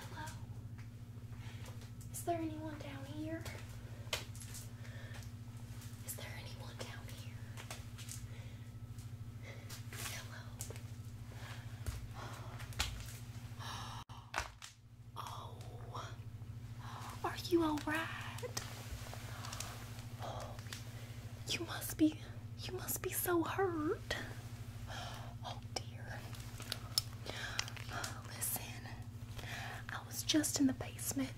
Hello? Is there anyone down here? Is there anyone down here? Hello? Oh. Are you alright? Oh, you must be you must be so hurt. Oh dear. Listen, I was just in the basement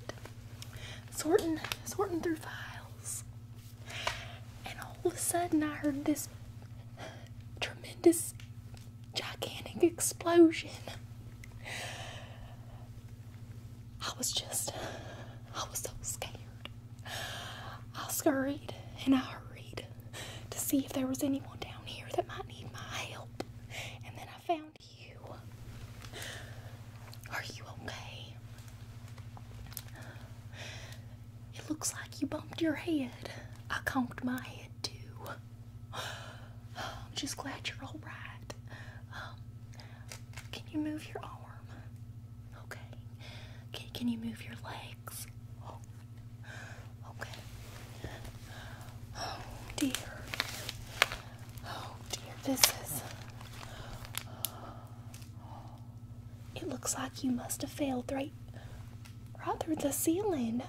sorting sorting through files. And all of a sudden I heard this tremendous gigantic explosion. I was just I was so scared. I scurried and I hurried to see if there was anyone down here that might need my help. And then I found you. Are you okay? It looks like you bumped your head. I conked my head too. I'm just glad you're alright. Um, can you move your arm? Okay. Can, can you move your legs? Oh. Okay. Oh dear. Oh dear. This is. It looks like you must have failed right, right through the ceiling.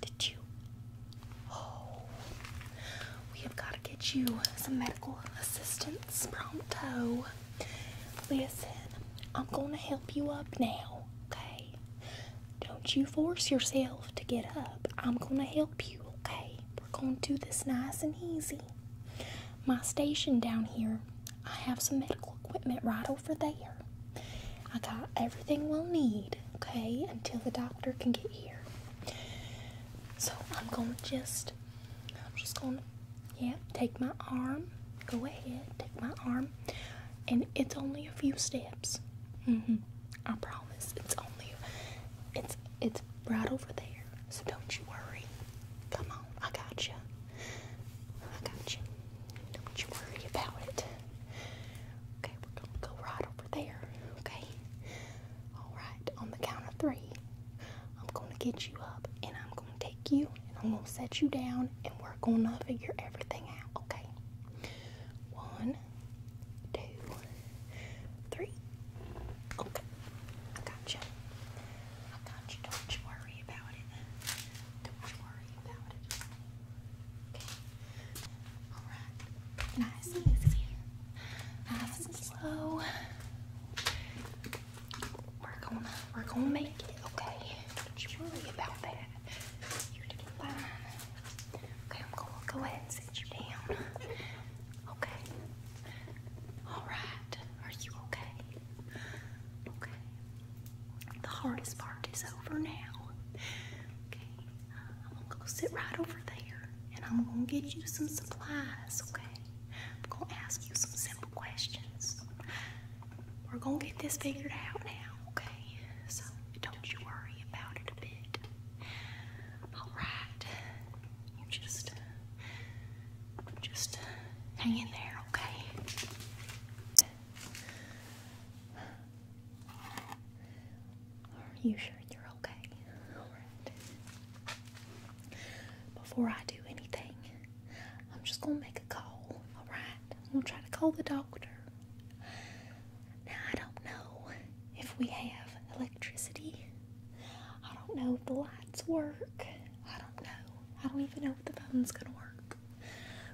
Did you? Oh. We have got to get you some medical assistance pronto. Listen, I'm gonna help you up now, okay? Don't you force yourself to get up. I'm gonna help you, okay? We're gonna do this nice and easy. My station down here, I have some medical equipment right over there. I got everything we'll need, okay, until the doctor can get here. So I'm gonna just I'm just gonna, yeah, take my arm. Go ahead, take my arm. And it's only a few steps. Mm hmm I promise. It's only, it's, it's right over there. So don't you worry. Come on, I got you. I got you. Don't you worry about it. Okay, we're gonna go right over there. Okay. All right. On the count of three, I'm gonna get you up, and I'm I'm gonna take you and I'm gonna set you down and we're gonna figure everything out, okay? One, two, three. Okay, I got you. I got you. Don't you worry about it. Don't you worry about it. Okay. All right. Nice slow. We're gonna, we're gonna make it, okay? Don't worry about that. You're doing fine. Okay, I'm gonna go ahead and sit you down. Okay. All right. Are you okay? Okay. The hardest part is over now. Okay. I'm gonna go sit right over there, and I'm gonna get you some supplies, okay? I'm gonna ask you some simple questions. We're gonna get this figured out now, okay? So don't you worry about it a bit. Alright. You just just hang in there, okay? Are you sure you're okay? Alright. Before I do anything, I'm just gonna make make a call, alright? I'm gonna try to call the doctor. Now, I don't know if we have electricity. I don't know if the lights work. I don't know. I don't even know if the phone's gonna work.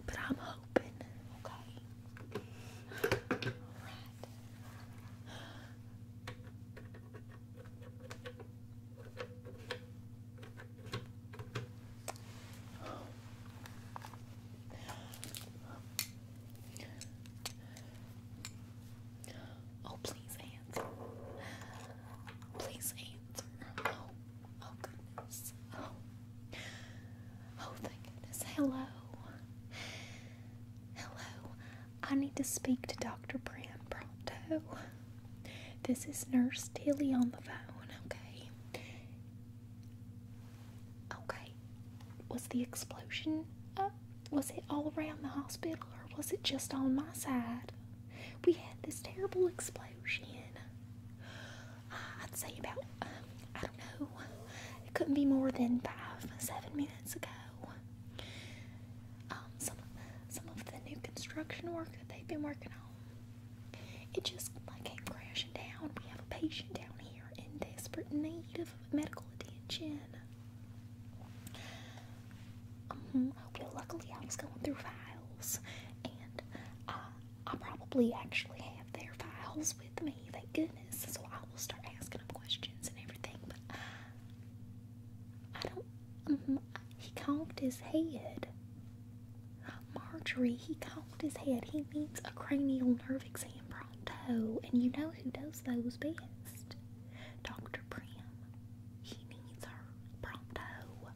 But I'm hoping, okay? Alright. Oh, please answer. Please answer. Oh, oh, goodness. Oh, oh thank goodness. Hello. Hello. I need to speak to Dr. Brand pronto. This is Nurse Tilly on the phone, okay? Okay. Was the explosion, was it all around the hospital or was it just on my side? We had this terrible explosion. I'd say about, I don't know, it couldn't be more than five, seven minutes ago. Um, some of the new construction work that they've been working on. It just like came crashing down. We have a patient down here in desperate need of medical attention. Mm-hmm. well, luckily I was going through files, and uh, I probably actually have their files with me. Thank goodness. So I will start asking them questions and everything. But uh, I don't. Mm-hmm, he conked his head. Marjorie, he conked his head. He needs a cranial nerve exam pronto. And you know who does those best? Dr. Prim. He needs her pronto.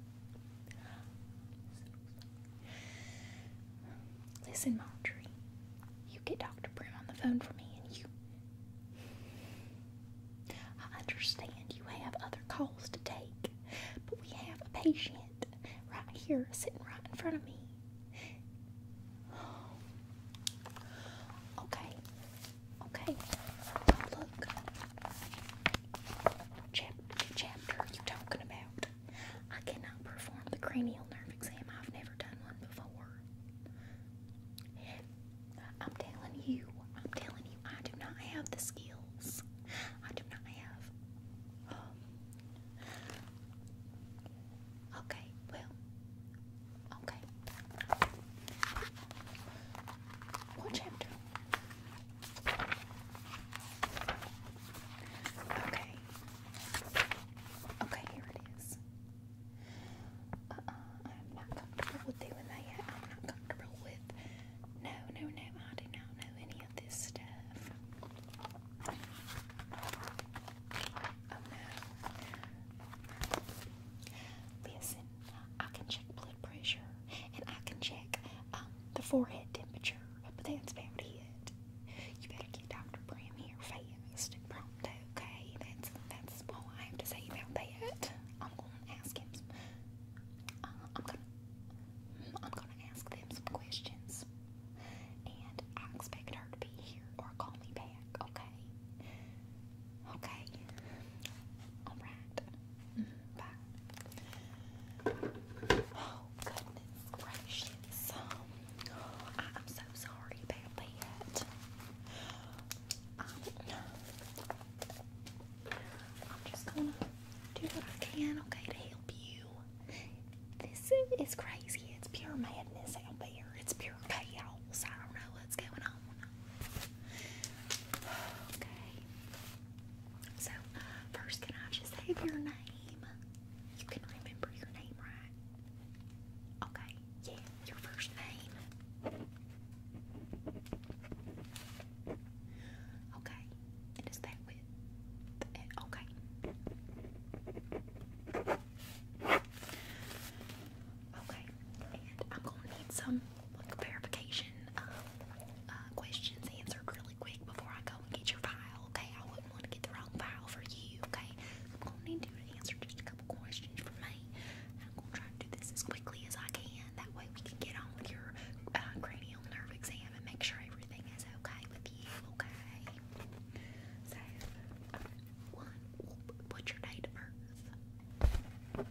Listen, Marjorie. You get Dr. Prim on the phone for me and you. I understand you have other calls to take. But we have a patient right here sitting right in front of me. Okay, okay. Look, Chap chapter you talking about? I cannot perform the cranial nerve exam. I've never done one before. I'm telling you, I'm telling you, I do not have the skills. I do not have. Um, okay, well, okay. What chapter? Okay. Okay, here it is. Uh, uh, I'm not comfortable with doing that yet. I'm not comfortable with no, no, no, I do not know any of this stuff. Oh no. Listen, I can check blood pressure and I can check um, the forehead temperature, but that's about it. You better get Dr. Bram here fast and prompt, okay? That's that's all I have to say about that. I'm gonna ask him. Uh, I'm gonna I'm gonna ask them some questions. And I expect her to be here or call me back, okay? Okay. Alright. Bye. Oh, goodness gracious. I'm so sorry about that. Um, I'm just gonna do what I can, okay, to help you. This is crazy. It's pure madness out there. It's pure chaos. I don't know what's going on. Okay. So, first, can I just have your name? You can remember your name, right? Okay. Yeah, your first name. Okay, and that with okay? Okay, and I'm gonna need some like verification um, questions answered really quick before I go and get your file. Okay, I wouldn't want to get the wrong file for you. Okay, I'm gonna need you to answer just a couple questions for me. I'm gonna try to do this as quickly as I can. That way we can get on with your uh, cranial nerve exam. I'm gonna make sure everything is okay with you, okay? one, what's your date of birth?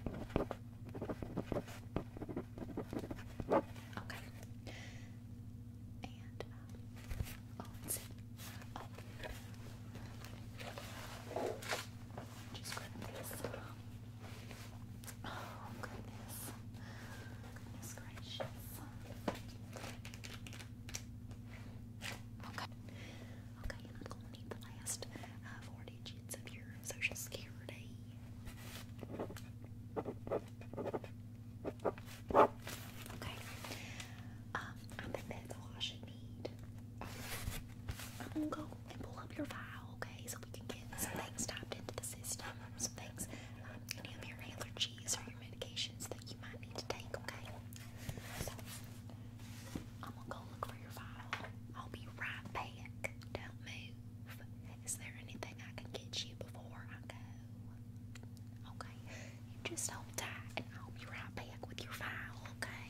Okay. Um, oh, Oh goodness. Goodness gracious. Okay. Okay, and I'm gonna need the last four digits of your social security. Okay. Um, I think that's all I should need. I'm gonna go and pull up your file, okay, so we can get some things typed into the system, some things any of your allergies or your medications that you might need to take, okay? So, I'm gonna go look for your file. I'll be right back. Don't move. Is there anything I can get you before I go? Okay, just hold tight and I'll be right back with your file, okay?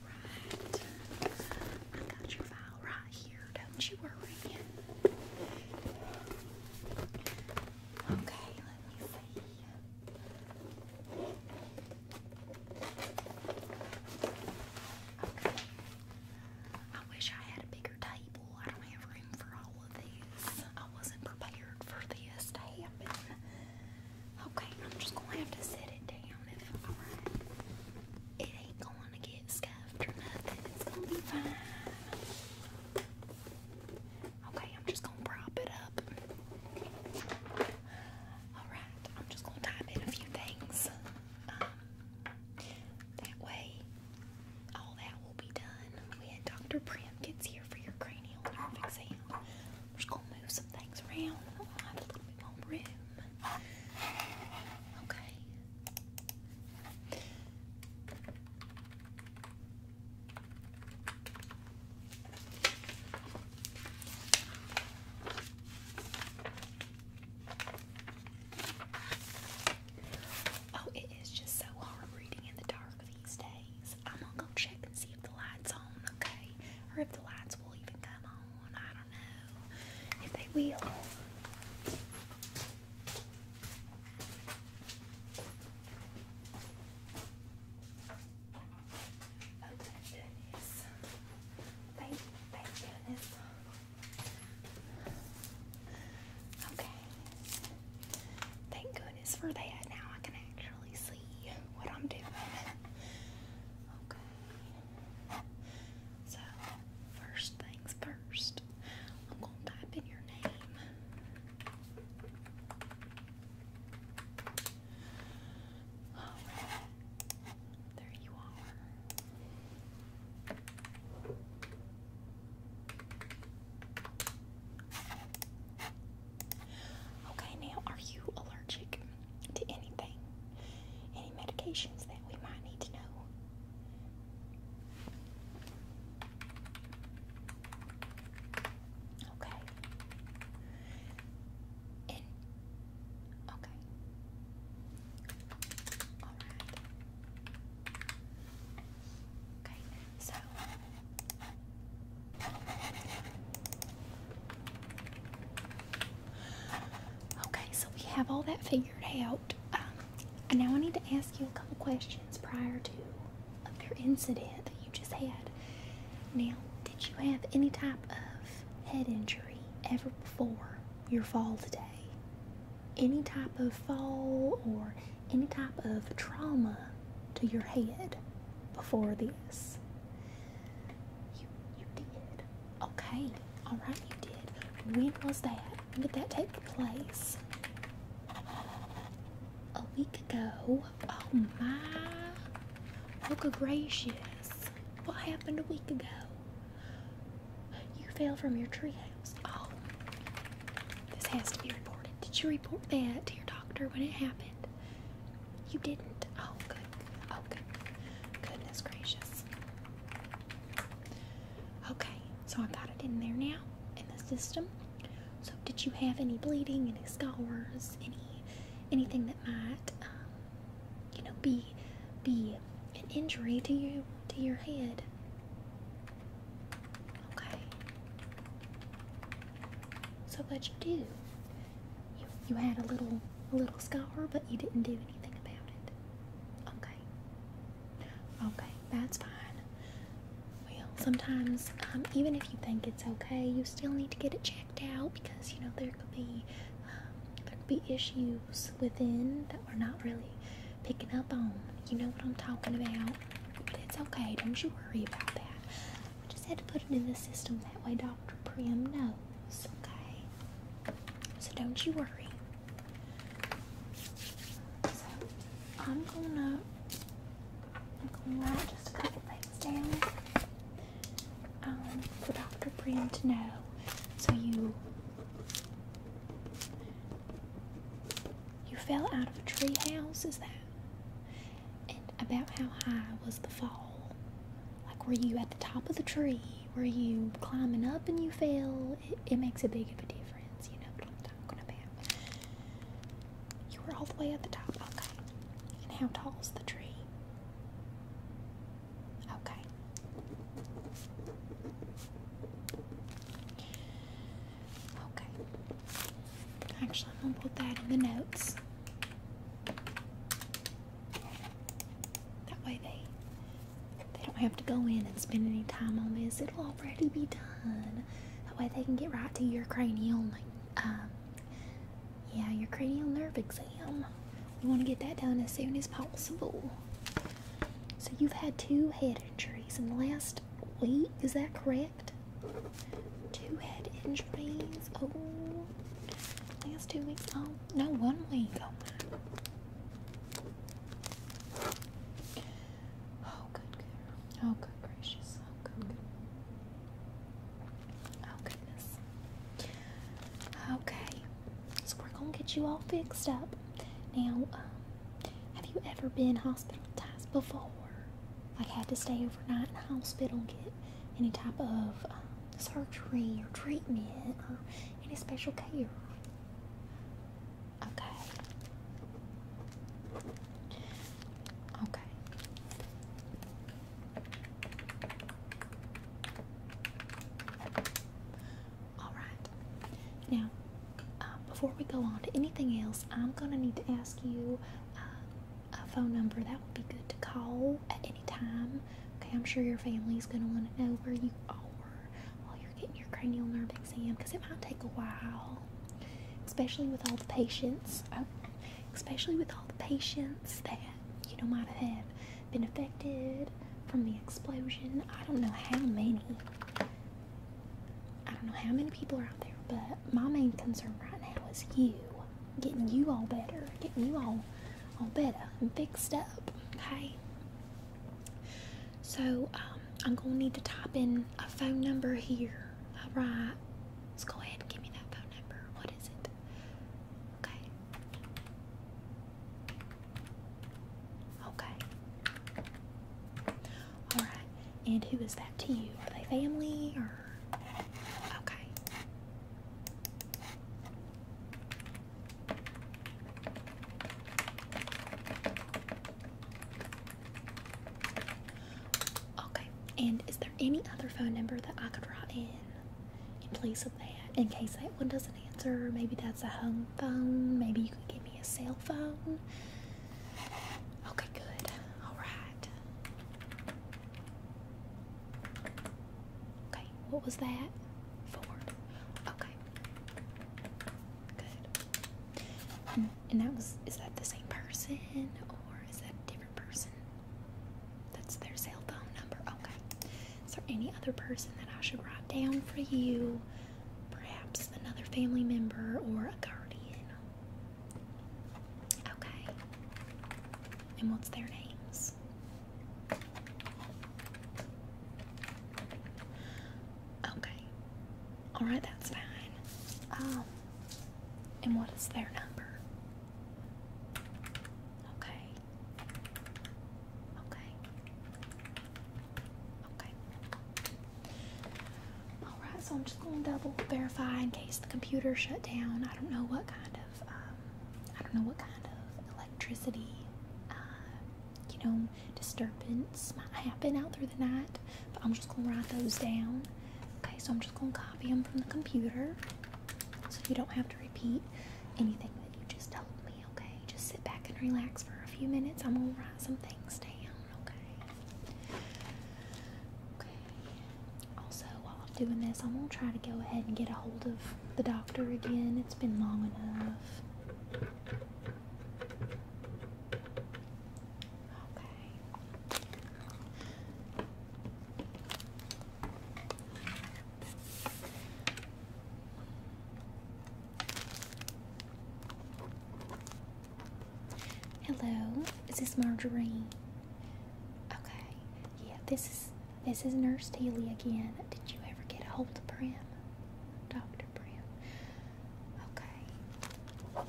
Alright. I got your file right here. Don't you worry. Okay, let me see. Okay. I wish I had a bigger table. I don't have room for all of these. I wasn't prepared for this to happen. Okay, I'm just gonna have to set it down It ain't gonna get scuffed or nothing. It's gonna be fine. Okay, I'm just gonna prop it up. Alright, I'm just gonna type in a few things. Um, that way, all that will be done when Dr. Prim gets here for your cranial exam. I'm just gonna move some things around. I'll uh, a little bit more room. Okay. Oh, it is just so hard reading in the dark these days. I'm gonna go check and see if the light's on, okay? Or if the lights will even come on. I don't know if they will. Oh, thank goodness. Thank, thank goodness. Okay. Thank goodness for that. Now I can actually see what I'm doing. Okay. So, first things first, I'm going to type in your name. There you are. Okay, now are you allergic to anything? Any medications that we might need to know? Okay. okay. All right. Okay. So Okay, so we have all that figured out. Um, now I need to ask you a couple questions prior to of your incident that you just had. Now, did you have any type of head injury ever before your fall today? Any type of fall or any type of trauma to your head before this? You you did. Okay. Alright, you did. when was that? When did that take place? A week ago. Oh my Look oh, gracious. What happened a week ago? You fell from your treehouse. Oh. This has to be reported. Did you report that to your doctor when it happened? You didn't. Oh, good. Oh, good. Goodness gracious. Okay, so I got it in there now in the system. So, did you have any bleeding, any scars, any anything that might, um, you know, be be an injury to you to your head? Okay. So, but you do you, you had a little a little scar, but you didn't do anything about it. Okay. Okay, that's fine. Well, sometimes, um, even if you think it's okay, you still need to get it checked out because you know there could be um, there could be issues within that we're not really picking up on. You know what I'm talking about. But it's okay. Don't you worry about that. I just had to put it in the system that way Dr. Prim knows, okay? So don't you worry. So I'm gonna I'm gonna write just a couple things down um, for Dr. Priam to know. So you you fell out of a tree house, is that? And about how high was the fall? Like, were you at the top of the tree? Were you climbing up and you fell? It, makes a big of a difference, you know what I'm talking about. You were all the way at the top, okay. And how tall is the tree? Okay. Okay. Actually, I'm going to put that in the notes. That way they they don't have to go in and spend any time on this. It'll already be done. That way they can get right to your cranial, um, yeah, your cranial nerve exam. We want to get that done as soon as possible. So you've had two head injuries in the last week. Is that correct? Two head injuries. Oh, last two weeks. Oh no one way oh, oh good, Oh good gracious. Oh, oh goodness. Okay. So we're gonna get you all fixed up. Now, um, have you ever been hospitalized before? Like had to stay overnight in the hospital and get any type of uh, surgery or treatment or uh, any special care. Okay. Okay. All right. Now, uh, before we go on to anything else, I'm gonna need to ask you a phone number that would be good to call at any time Okay, I'm sure your family's gonna want to know where you are while you're getting your cranial nerve exam because it might take a while, especially with all the patients. Oh, especially with all the patients that you know might have been affected from the explosion. I don't know how many. I don't know how many people are out there, but my main concern right now is you. Getting you all better, getting you all i all better I'm fixed up. Okay. So um, I'm gonna need to type in a phone number here. All right. Let's go ahead and give me that phone number. What is it? Okay. Okay. All right. And who is that to you? Are they family or? Okay. Okay, and is there any other phone number that I could write in in place of that in case that one doesn't answer? Maybe that's a home phone, maybe you could give me a cell phone. Okay, good. All right. Okay, what was that? Four. Okay. Good. And, mm, and that was, is that the same person or is that a different person? That's their cell phone number. Okay. Is there any other person that I should write down for you? Perhaps another family member or a guardian? Okay. And what's their names? Okay. Alright, that's fine. Um, and what is their number? Okay. Okay. Okay. Alright, so I'm just going to double verify in case the computer shut down. I don't know what kind of um, I don't know what kind of electricity, uh, you know, disturbance might happen out through the night, I'm just gonna write those down. Okay, so I'm just gonna copy them from the computer so you don't have to repeat anything that you just told me, okay? Just sit back and relax for a few minutes. I'm gonna write some things down, okay? Okay. Also, while I'm doing this, I'm gonna try to go ahead and get a hold of the doctor again. It's been long enough. Okay. Hello, is this Marjorie? Okay, yeah, this is this is Nurse Teely again. Did you ever get a hold of Brim? Dr. Brim. Okay.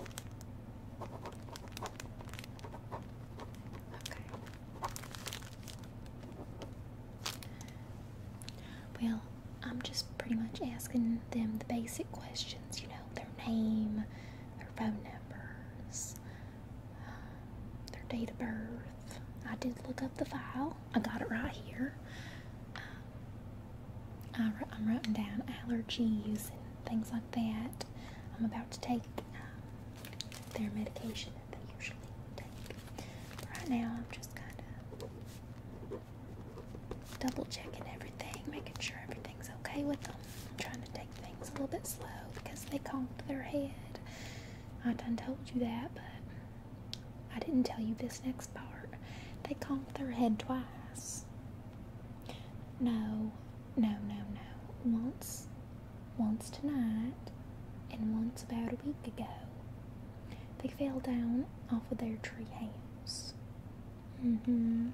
Okay. Well, I'm just pretty much asking them the basic questions, you know, their name, their phone numbers, their date of birth. I did look up the file. I got it right here. Uh, I, am writing down allergies and things like that. I'm about to take um, their medication that they usually take. right now, I'm just kind of double checking everything, making sure everything's okay with them. I'm trying to take things a little bit slow because they conked their head I done told you that, but I didn't tell you this next part. They combed their head twice. No, no, no, no. Once, once tonight, and once about a week ago. They fell down off of their tree house. Mm-hmm.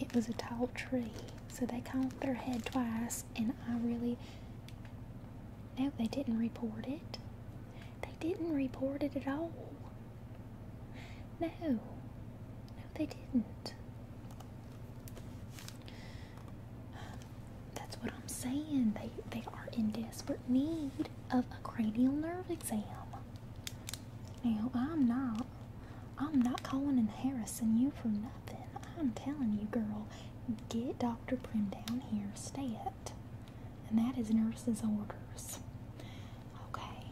It was a tall tree, so they combed their head twice, and I really no, they didn't report it. They didn't report it at all. No. No, they didn't. That's what I'm saying. They they are in desperate need of a cranial nerve exam. Now I'm not I'm not calling in Harrison you for nothing. I'm telling you, girl, get Dr. Prim down here, stat. And that is nurse's orders. Okay.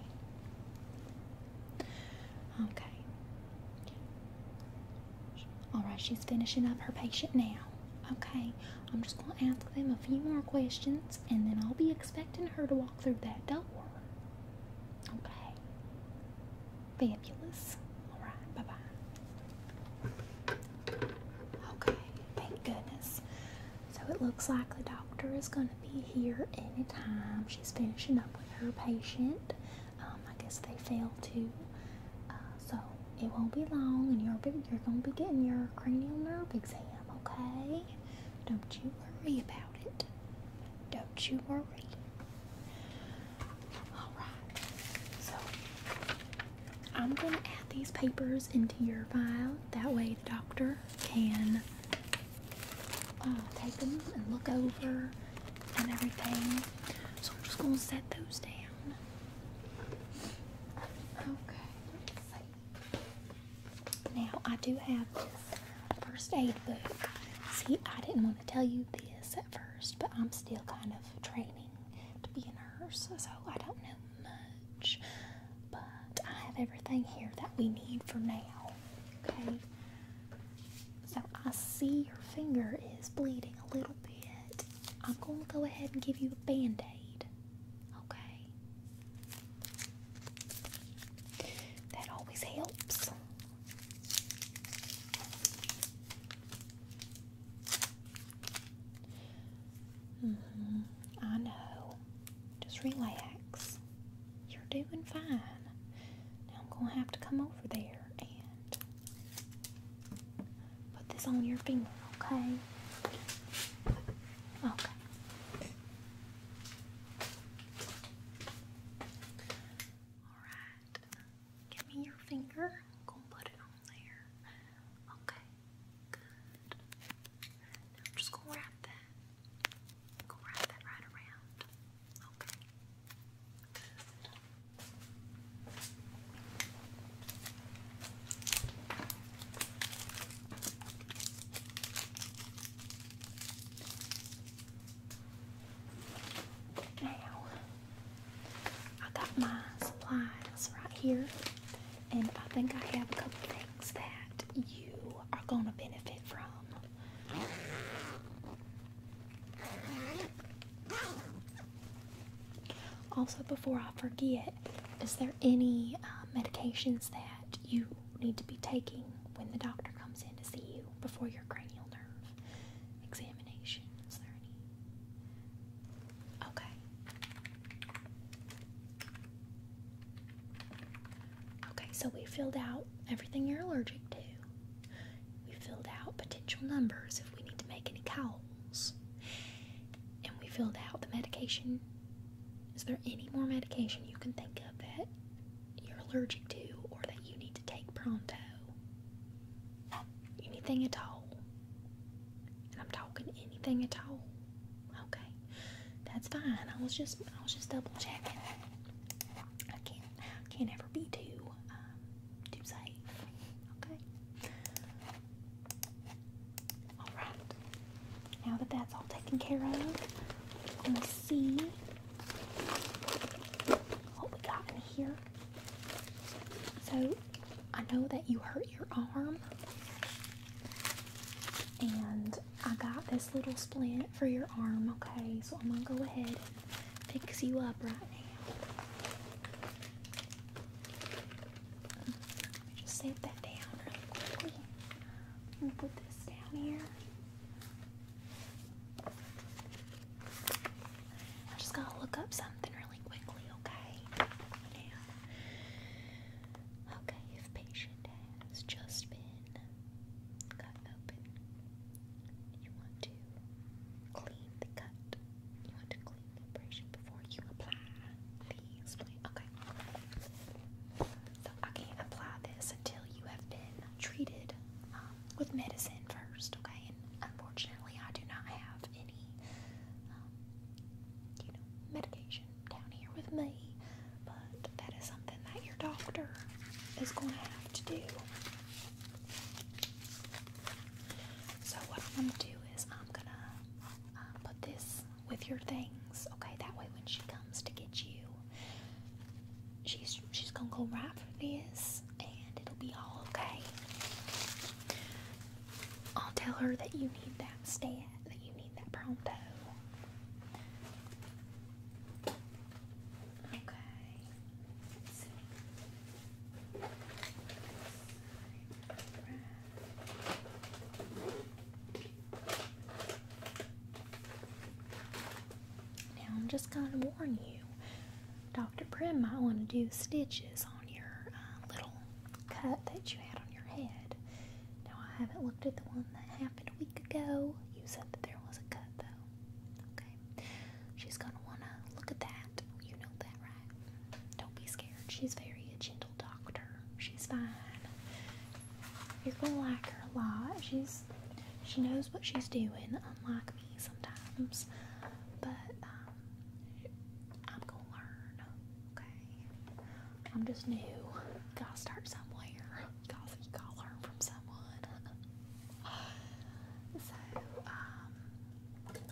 Okay. Alright, she's finishing up her patient now. Okay, I'm just going to ask them a few more questions and then I'll be expecting her to walk through that door. Okay. Fabulous. Alright, bye bye. Okay, thank goodness. So it looks like the doctor is going to be here anytime. She's finishing up with her patient. Um, I guess they failed too. Uh, so it won't be long, and you're, you're going to be getting your cranial nerve exam, okay? Don't you worry about it. Don't you worry. Alright, so I'm going to add these papers into your file. That way, the doctor can uh, take them and look over and everything. So I'm just going to set those down. Okay, Now, I do have this first aid book. See, I didn't want to tell you this at first, but I'm still kind of training to be a nurse, so I don't know much, but I have everything here that we need for now. Okay, so I see your finger is bleeding a little bit. I'm going to go ahead and give you a band aid. Okay, that always helps. Mm-hmm. I know. Just relax. You're doing fine. Now I'm going to have to come over there and put this on your finger, okay? Okay. Alright. Give me your finger. Go put it on there. Okay. Good. just gonna wrap that. Go wrap that right around. Okay. Good. Now I got my supplies right here, and I think I have a couple things that you are going to benefit from. Also, before I forget, is there any uh, medications that you need to be taking when the doctor comes in to see you before your cranial nerve examinations? There any? Okay. Okay, so we filled out everything you're allergic to. We filled out potential numbers if we need to make any calls. And we filled out the medication. Is there any more medication you can think of that you're allergic to or that you need to take pronto? Anything at all? I'm talking anything at all. Okay. That's fine. I was just I was just double checking. I can't can't ever be too um, too safe. Okay. Alright. Now that that's all taken care of, let am see Oh so I know that you hurt your arm, and I got this little splint for your arm, okay? So I'm gonna go ahead and fix you up right now. just set that down really quickly. I'm gonna put this down here. I just gotta look up something really quickly, okay? okay, if patient has just been cut open, you want to clean the cut. You want to clean the abrasion before you apply the Okay. So I can't apply this until you have been treated um, with medicine first, okay? And unfortunately, I do not have any um, you know, medication down here with me, but that is something that your doctor is going to have to do. So what I'm going to do is I'm going to uh, put this with your things, okay? That way when she comes to get you, she's, she's going to go right for this and it'll be all okay. I'll tell her that you need that stat, that you need that pronto. Okay. Now I'm just gonna warn you, Dr. Prim might want to do stitches on your uh, little cut that you had on your head. Now, I haven't looked at the one that happened a week ago. You said that there was a cut, though. Okay. She's going to want to look at that. You know that, right? Don't be scared. She's very a gentle doctor. She's fine. You're going to like her a lot. She's she knows what she's doing, unlike me sometimes. But um, I'm gonna learn, okay? I'm just new. Gotta start somewhere. Gotta, learn from someone. so, um,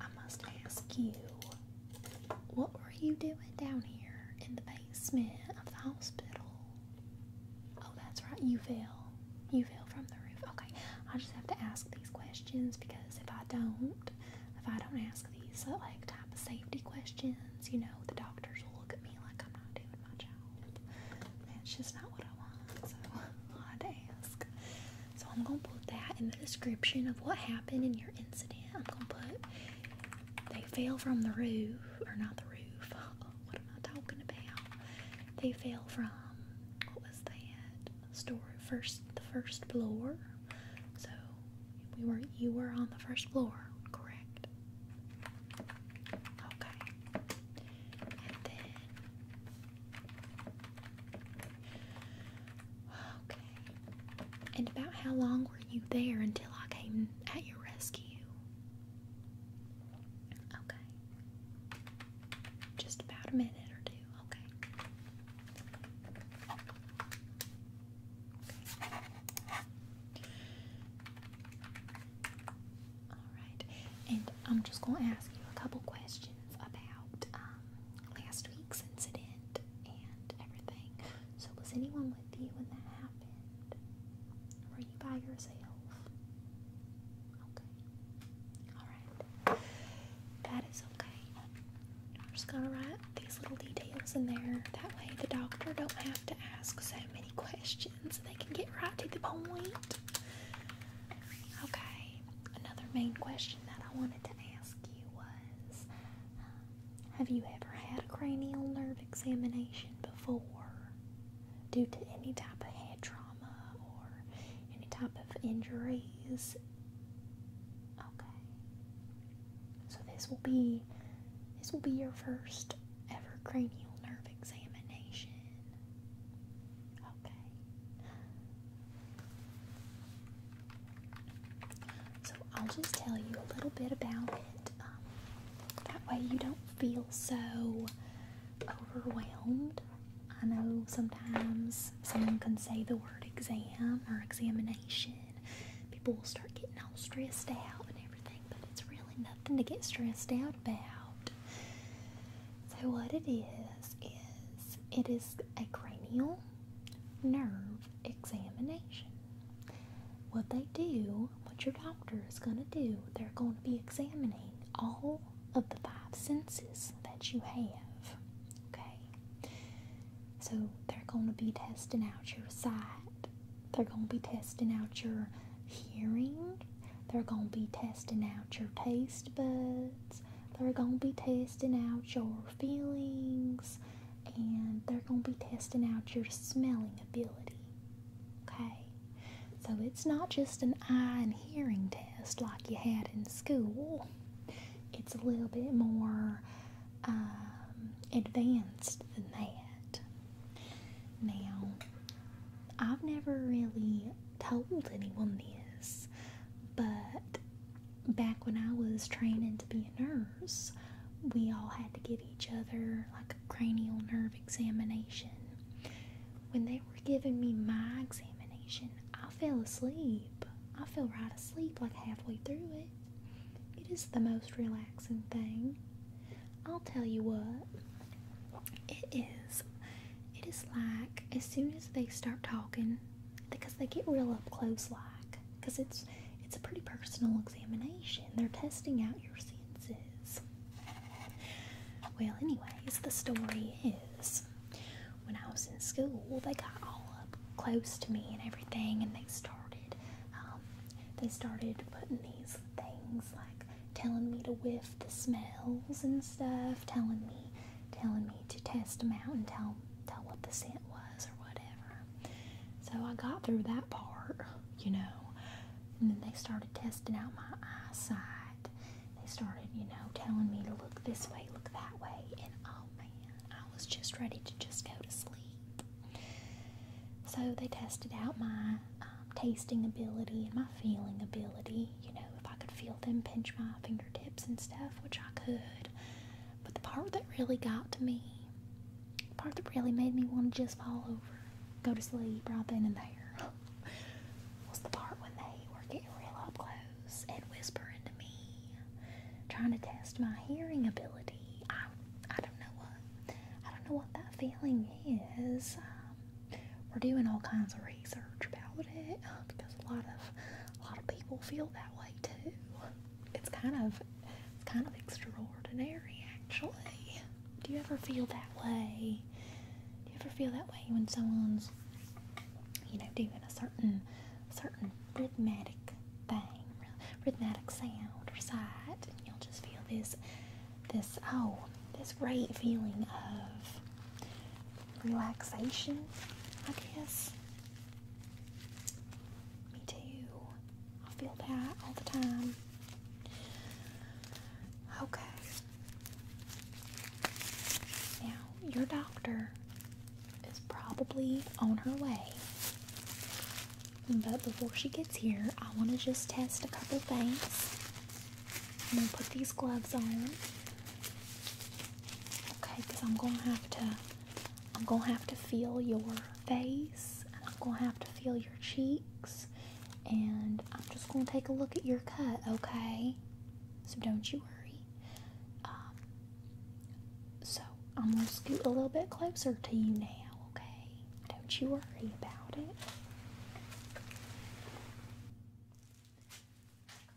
I must ask you, what were you doing down here in the basement of the hospital? Oh, that's right, you fell. You fell from the roof. Okay, I just have to ask these questions because if I don't, if I don't ask these uh, like type of safety questions, you know, the doctors will look at me like I'm not doing my job. That's just not what I want. So I had to ask. So I'm gonna put that in the description of what happened in your incident. I'm gonna put they fell from the roof, or not the roof. what am I talking about? They fell from they had store first the first floor. So we were you were on the first floor, correct? Okay. And Okay. And about how long were you there until I came at your rescue? Okay. Just about a minute or two, okay. Alright, and I'm just going to ask you a couple questions about um, last week's incident and everything. So, was anyone with you when that happened? Were you by yourself? Okay. All that is okay. I'm just gonna write these little details in there. That way the doctor don't have to ask so many questions. They can get right to the point. Okay. Another main question that I wanted to ask you was um, have you ever had a cranial nerve examination before due to any type of head trauma? or any type of injuries. Okay. So this will be this will be your first ever cranial nerve examination. Okay. So I'll just tell you a little bit about it. Um, that way you don't feel so overwhelmed. I know sometimes someone can say the word exam or examination. People will start getting all stressed out and everything, but it's really nothing to get stressed out about. So, what it is, is it is a cranial nerve examination. What they do, what your doctor is going to do, they're going to be examining all of the five senses that you have. Okay? So they're going to be testing out your sight, they're going to be testing out your hearing, they're going to be testing out your taste buds, they're going to be testing out your feelings, and they're going to be testing out your smelling ability. Okay? So it's not just an eye and hearing test like you had in school. It's a little bit more um, advanced than that. Now, I've never really told anyone this, but back when I was training to be a nurse, we all had to give each other like a cranial nerve examination when they were giving me my examination, I fell asleep. I fell right asleep like halfway through it. It is the most relaxing thing. I'll tell you what. It is. It is like as soon as they start talking, because they get real up close, like, because it's it's a pretty personal examination. They're testing out your senses. Well, anyways, the story is when I was in school, they got all up close to me and everything, and they started, um, they started putting these things like telling me to whiff the smells and stuff, telling me, telling me to test them out and tell tell what the scent was or whatever. So I got through that part, you know, and then they started testing out my eyesight they started, you know, telling me to look this way, look that way, and oh man, I was just ready to just go to sleep. So they tested out my um, tasting ability and my feeling ability, you know, if I could feel them pinch my fingertips and stuff, which I could. But the part that really got to me, the part that really made me want to just fall over, go to sleep right then and there was the part when they were getting real up close and whispering to me, trying to test my hearing ability. I, I don't know what, I don't know what that feeling is. Um, we're doing all kinds of research about it uh, because a lot of, a lot of people feel that way too. It's kind of, it's kind of extraordinary actually. Do you ever feel that way? Do you ever feel that way when someone's you know, doing a certain certain rhythmic thing, rhythmic sound or sight, and you'll just feel this this oh this great feeling of relaxation, I guess. Me too. I feel that all the time. Okay. Now your doctor is probably on her way. But before she gets here, I want to just test a couple things. I'm going to put these gloves on. Okay, because I'm going to have to, I'm going to have to feel your face. And I'm going to have to feel your cheeks. And I'm just going to take a look at your cut, okay? So don't you worry. Um, so I'm gonna scoot a little bit closer to you now, okay? Don't you worry about it.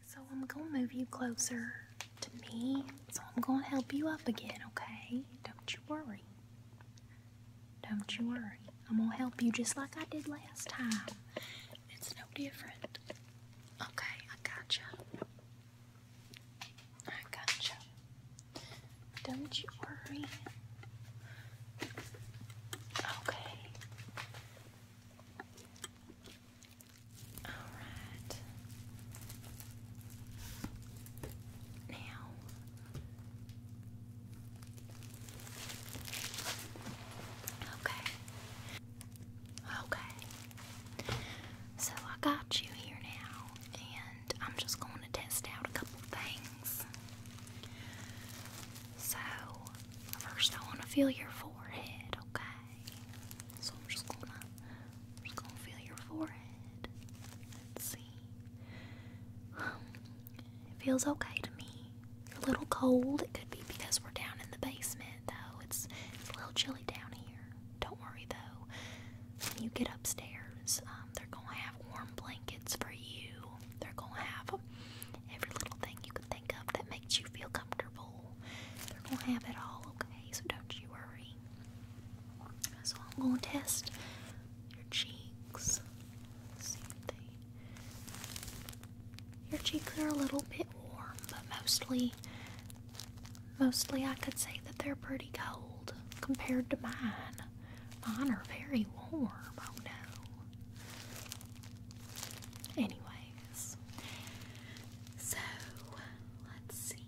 So I'm gonna move you closer to me. So I'm gonna help you up again, okay? Don't you worry. Don't you worry. I'm gonna help you just like I did last time. It's no different. Okay, I gotcha. I gotcha. Don't you worry. Okay. Alright. Now Okay. Okay. So I got you here now, and I'm just going to test out a couple things. So, first I want to feel your forehead, okay? So I'm just going to going to feel your forehead. Let's see. Um, it feels okay to me a little cold. It could be because we're down in the basement, though. It's, it's a little chilly down here. Don't worry, though. When you get upstairs, um, they're going to have warm blankets for you. They're going to have every little thing you can think of that makes you feel comfortable. They're going to have it all, okay? So don't you worry. So I'm going to test your cheeks. See if your cheeks are a little bit warm, but mostly, mostly I could say that they're pretty cold compared to mine. Mine are very warm, oh no. Anyways, so let's see.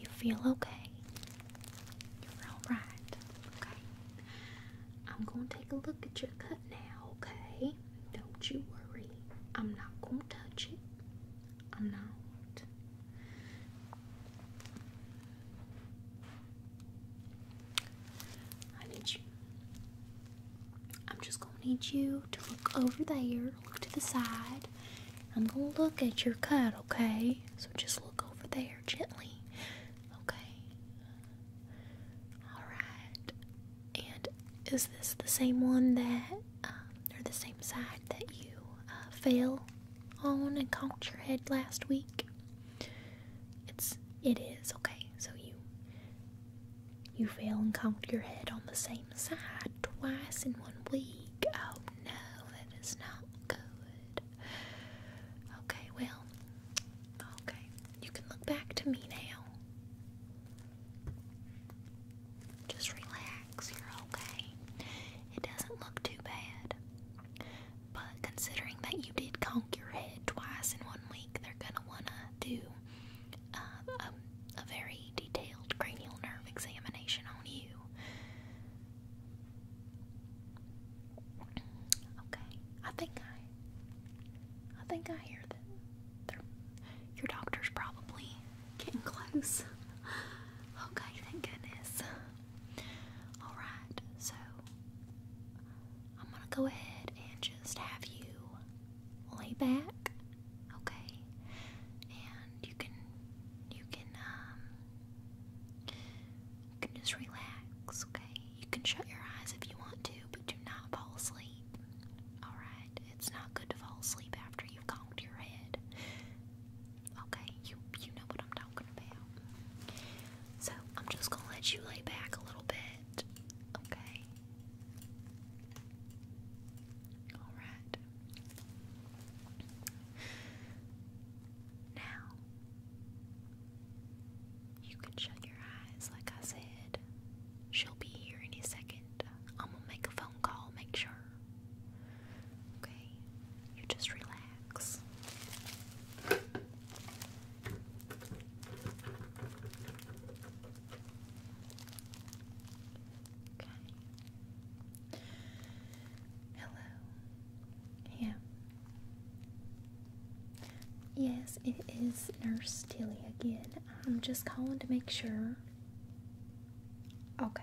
You feel okay? You're alright, okay? I'm gonna take a look at your cut now, okay? Don't you worry. I'm not going to touch it. I'm not. I need you. I'm just going to need you to look over there, look to the side. I'm going to look at your cut, okay? So just look over there gently, okay? Alright. And is this the same one that, um, or the same side that you uh, fell on and conked your head last week? It's, it is, okay. So you, you fail and conked your head on the same side twice in one week. Oh no, that is not good. Okay, well, okay. You can look back to me now. Just relax, you're okay. It doesn't look too bad. But considering that you did conk your head twice in one week, they're gonna wanna do um, a very detailed cranial nerve examination on you. Okay, I think I, I think I hear them your doctor's probably getting close. Okay, oh, thank goodness. Alright, so I'm gonna go ahead and just have you lay back, okay? And you can you can um, can just relax, okay? You can shut your eyes if you want to, but do not fall asleep. Alright. It's not good to fall asleep after you've conked your head. Okay, you you know what I'm talking about. So I'm just gonna let you lay back a little bit. Okay. Alright. Now you can shut your eyes, like I said. She'll be here any second i I'm gonna make a phone call, make sure. Okay, you just relax. Okay. Hello. Yeah. Yes, it is Nurse Tilly again. I'm just calling to make sure. Okay.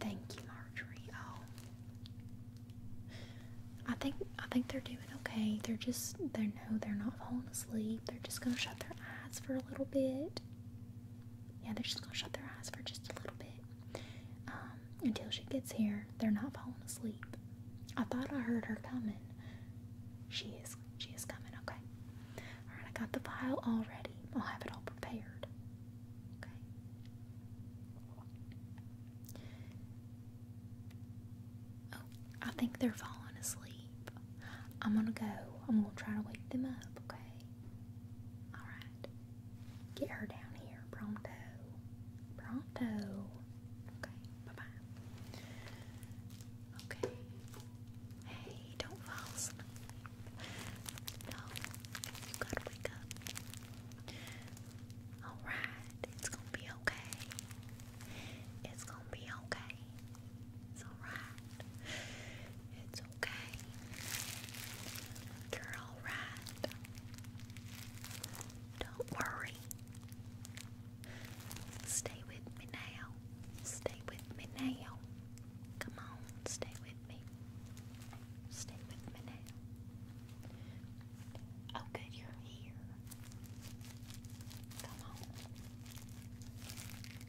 Thank you, Marjorie. Oh. I think I think they're doing okay. They're just they are no, they're not falling asleep. They're just gonna shut their eyes for a little bit. Yeah, they're just gonna shut their eyes for just a little bit. Um, until she gets here, they're not falling asleep. I thought I heard her coming. She is. She is coming. Okay. All right. I got the file all ready. I'll have it all prepared. Okay. Oh, I think they're falling asleep. I'm gonna go. I'm gonna try to wake them up. Okay. All right. Get her down here pronto. Pronto. Okay. Bye bye. Okay. Hey, don't fall asleep. No, you gotta wake up. Alright, it's gonna be okay. It's gonna be okay. It's alright. It's okay. you alright. Don't worry. Stay with me now. Stay with me now. Come on, stay with me. Stay with me now. Oh, good, you're here. Come on.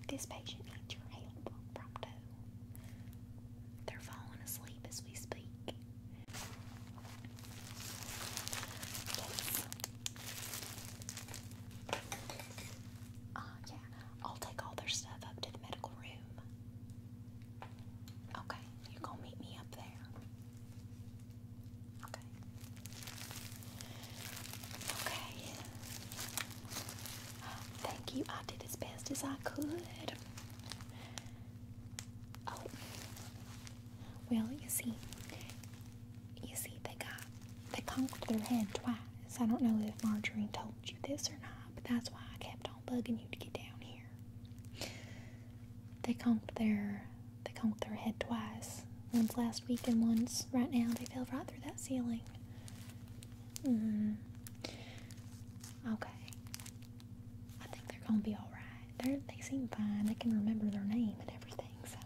This patient needs your help, prompto. They're falling asleep as we speak. Yes. Uh, yeah, I'll take all their stuff up to the medical room. Okay, you gonna meet me up there? Okay. Okay. Thank you. I did as best as I could. Oh. Well, you see, you see, they got they conked their head twice. I don't know if Marjorie told you this or not, but that's why I kept on bugging you to get down here. They conked their they conked their head twice. Once last week and once right now. They fell right through that ceiling. Mm. Okay. I think they're gonna be all right. they seem fine. They can remember their name and everything. So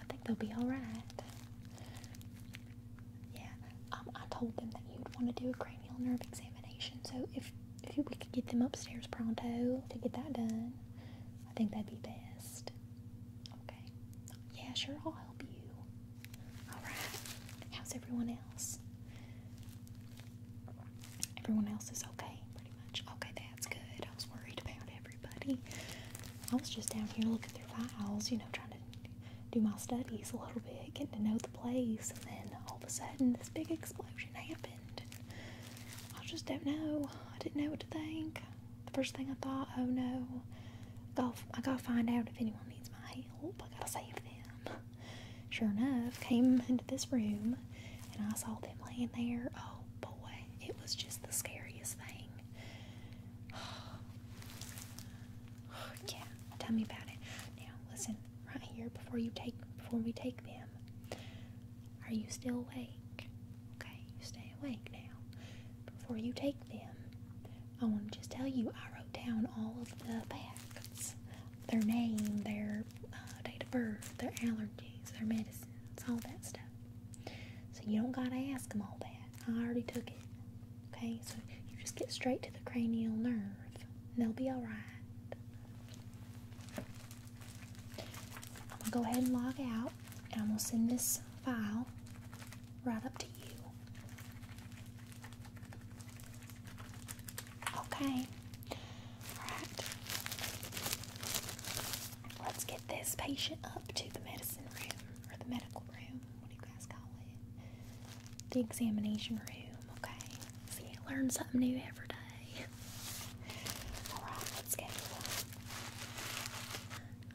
I think they'll be all right. Yeah, um, I told them that you'd want to do a cranial nerve examination, so if if we could get them upstairs pronto to get that done, I think that'd be best. Okay. Yeah, sure. I'll help you. All right. How's everyone else? Everyone else is okay, pretty much. Okay, that's good. I was worried about everybody. I was just down here looking through files, you know, trying to do my studies a little bit, getting to know the place, and then all of a sudden this big explosion happened. I just don't know. I didn't know what to think. The first thing I thought, oh no, I gotta, I gotta find out if anyone needs my help. I gotta save them. Sure enough, came into this room and I saw them laying there. Oh boy, it was just the scariest thing. yeah, tell me about it. Now, listen, right here before you take before we take them. Are you still awake? Okay, you stay awake now. Before you take them, I want to just tell you I wrote down all of the facts, their name, their uh, date of birth, their allergies, their medicines, all that stuff. So you don't gotta ask them all that. I already took it. Okay, so you just get straight to the cranial nerve and they'll be alright. I'm gonna go ahead and log out and I'm gonna send this file right up to you. Okay. Alright. Let's get this patient up to the medicine room or the medical room. What do you guys call it? The examination room. Okay. See, I learn something new every day. All right, let's go.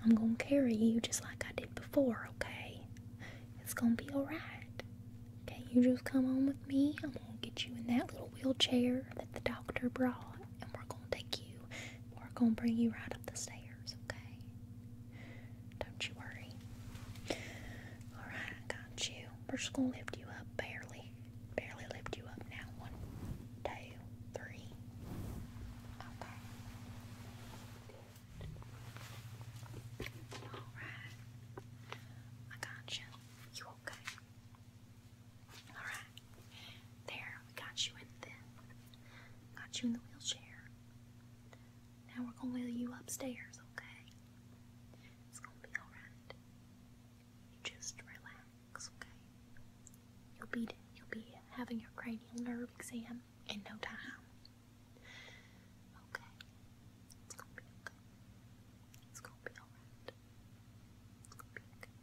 I'm gonna carry you just like I did before. Okay. It's gonna be all right. Okay, you just come on with me. I'm gonna get you in that little wheelchair that the doctor brought, and we're gonna take you. We're gonna bring you right up the stairs okay? Don't you worry. Alright, I got you. We're just gonna lift you up barely. Barely lift you up now. One, two, three. Okay. Alright. I got you. You okay? Alright. There, we got you in this. Got you in the wheelchair. Now we're gonna wheel you upstairs, okay? It's gonna be alright. You just relax, okay? You'll be you'll be having your cranial nerve exam in no time. Okay. It's gonna be okay. It's gonna be alright. It's gonna be okay.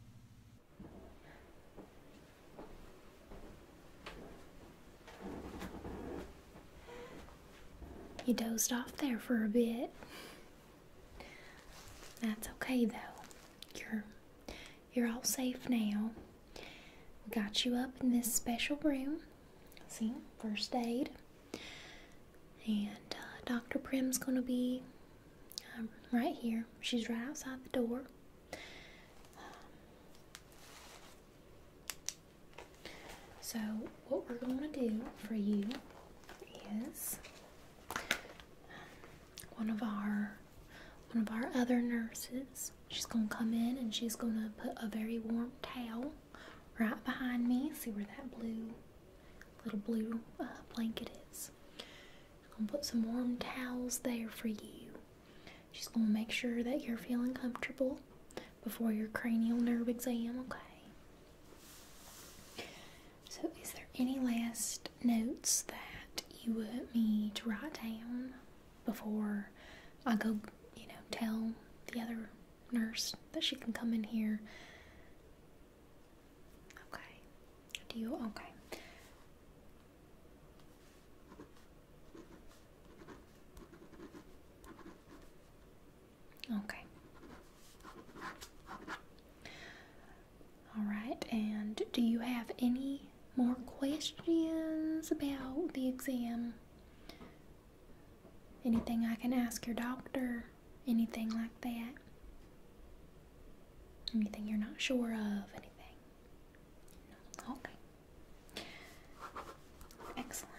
You dozed off there for a bit. That's okay though. You're you're all safe now. We got you up in this special room. See, first aid. And uh, Dr. Prim's gonna be um, right here. She's right outside the door. Um, so, what we're going to do for you is um, one of our one of our other nurses. She's going to come in and she's going to put a very warm towel right behind me. See where that blue little blue uh, blanket is. I'm gonna put some warm towels there for you. She's gonna make sure that you're feeling comfortable before your cranial nerve exam, okay? So, is there any last notes that you want me to write down before I go, you know, tell the other nurse that she can come in here? Okay. Do you? Okay. Okay. All right, and do you have any more questions about the exam? Anything I can ask your doctor? Anything like that? Anything you're not sure of? Anything? Okay. Excellent.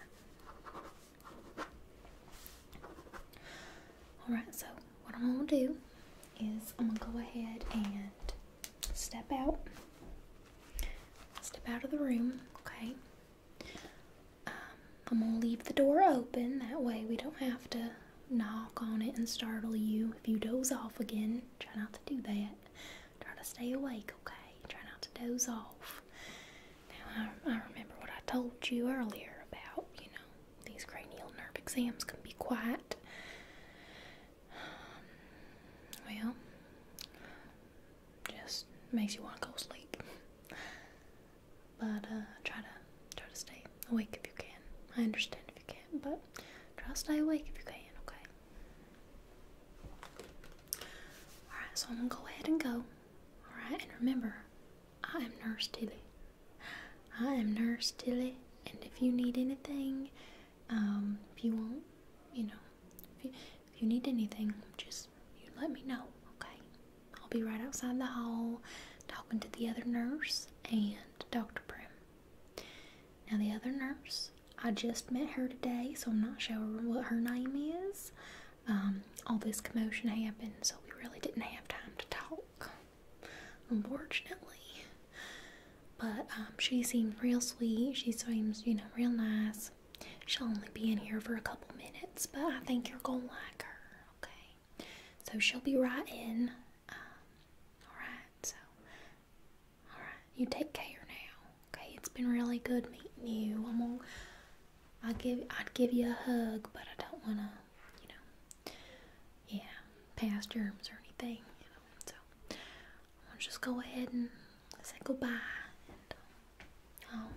Alright, so what I'm going to do is I'm going to go ahead and step out. Step out of the room, okay? Um, I'm going to leave the door open. That way we don't have to knock on it and startle you if you doze off again. Try not to do that. Try to stay awake, okay? Try not to doze off. Now, I, remember what I told you earlier about, you know, these cranial nerve exams can be quiet. Um, well, just makes you want to go sleep. But uh, try to try to stay awake if you can. I understand if you can't, but try to stay awake if you can. Okay. Alright, so I'm gonna go ahead and go. Alright, and remember, I am Nurse Tilly. I am Nurse Tilly, and if you need anything, um, if you want, you know, if you, if you need anything, just you let me know, okay? I'll be right outside the hall talking to the other nurse and Dr. Prim. Now, the other nurse, I just met her today, so I'm not sure what her name is. Um, all this commotion happened, so we really didn't have time to talk, unfortunately. But um, she seemed real sweet. She seems, you know, real nice. She'll only be in here for a couple minutes, but I think you're gonna like her, okay? So she'll be right in. Um, Alright, so Alright, you take care now. Okay, it's been really good meeting you. I'm on I give I'd give you a hug, but I don't wanna, you know, yeah, pass germs or anything, you know. So i will just go ahead and say goodbye and I'll, um,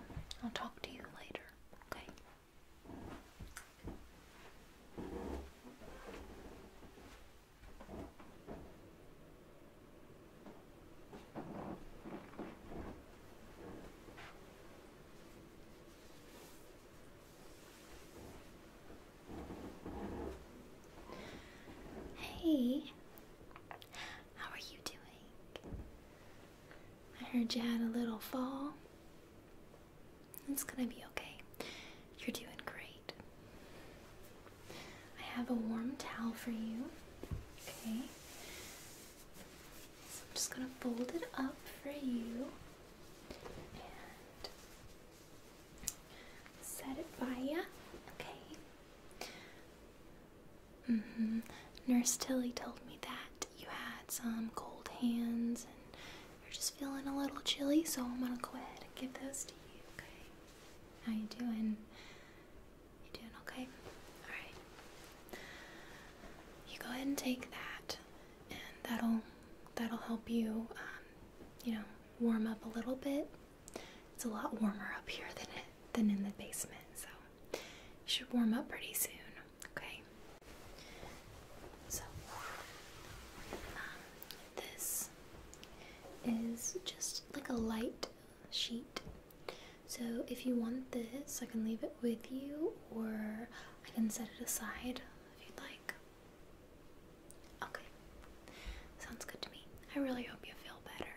I'll talk to you later, okay? Hey, how are you doing? I heard you had a little fall. It's gonna be okay. You're doing great. I have a warm towel for you. Okay. So I'm just going to fold it up for you and set it by you. Okay. Mm-hmm. Nurse Tilly told me that you had some cold hands and you're just feeling a little chilly, so I'm going to go ahead and give those to you, okay? How you doing? You doing okay? Alright. You go ahead and take that and that'll that'll help you um, you know, warm up a little bit. It's a lot warmer up here than it than in the basement, so you should warm up pretty soon, okay? So um, this is just like a light sheet. So if you want this, I can leave it with you or I can set it aside if you'd like. Okay. Sounds good to me. I really hope you feel better.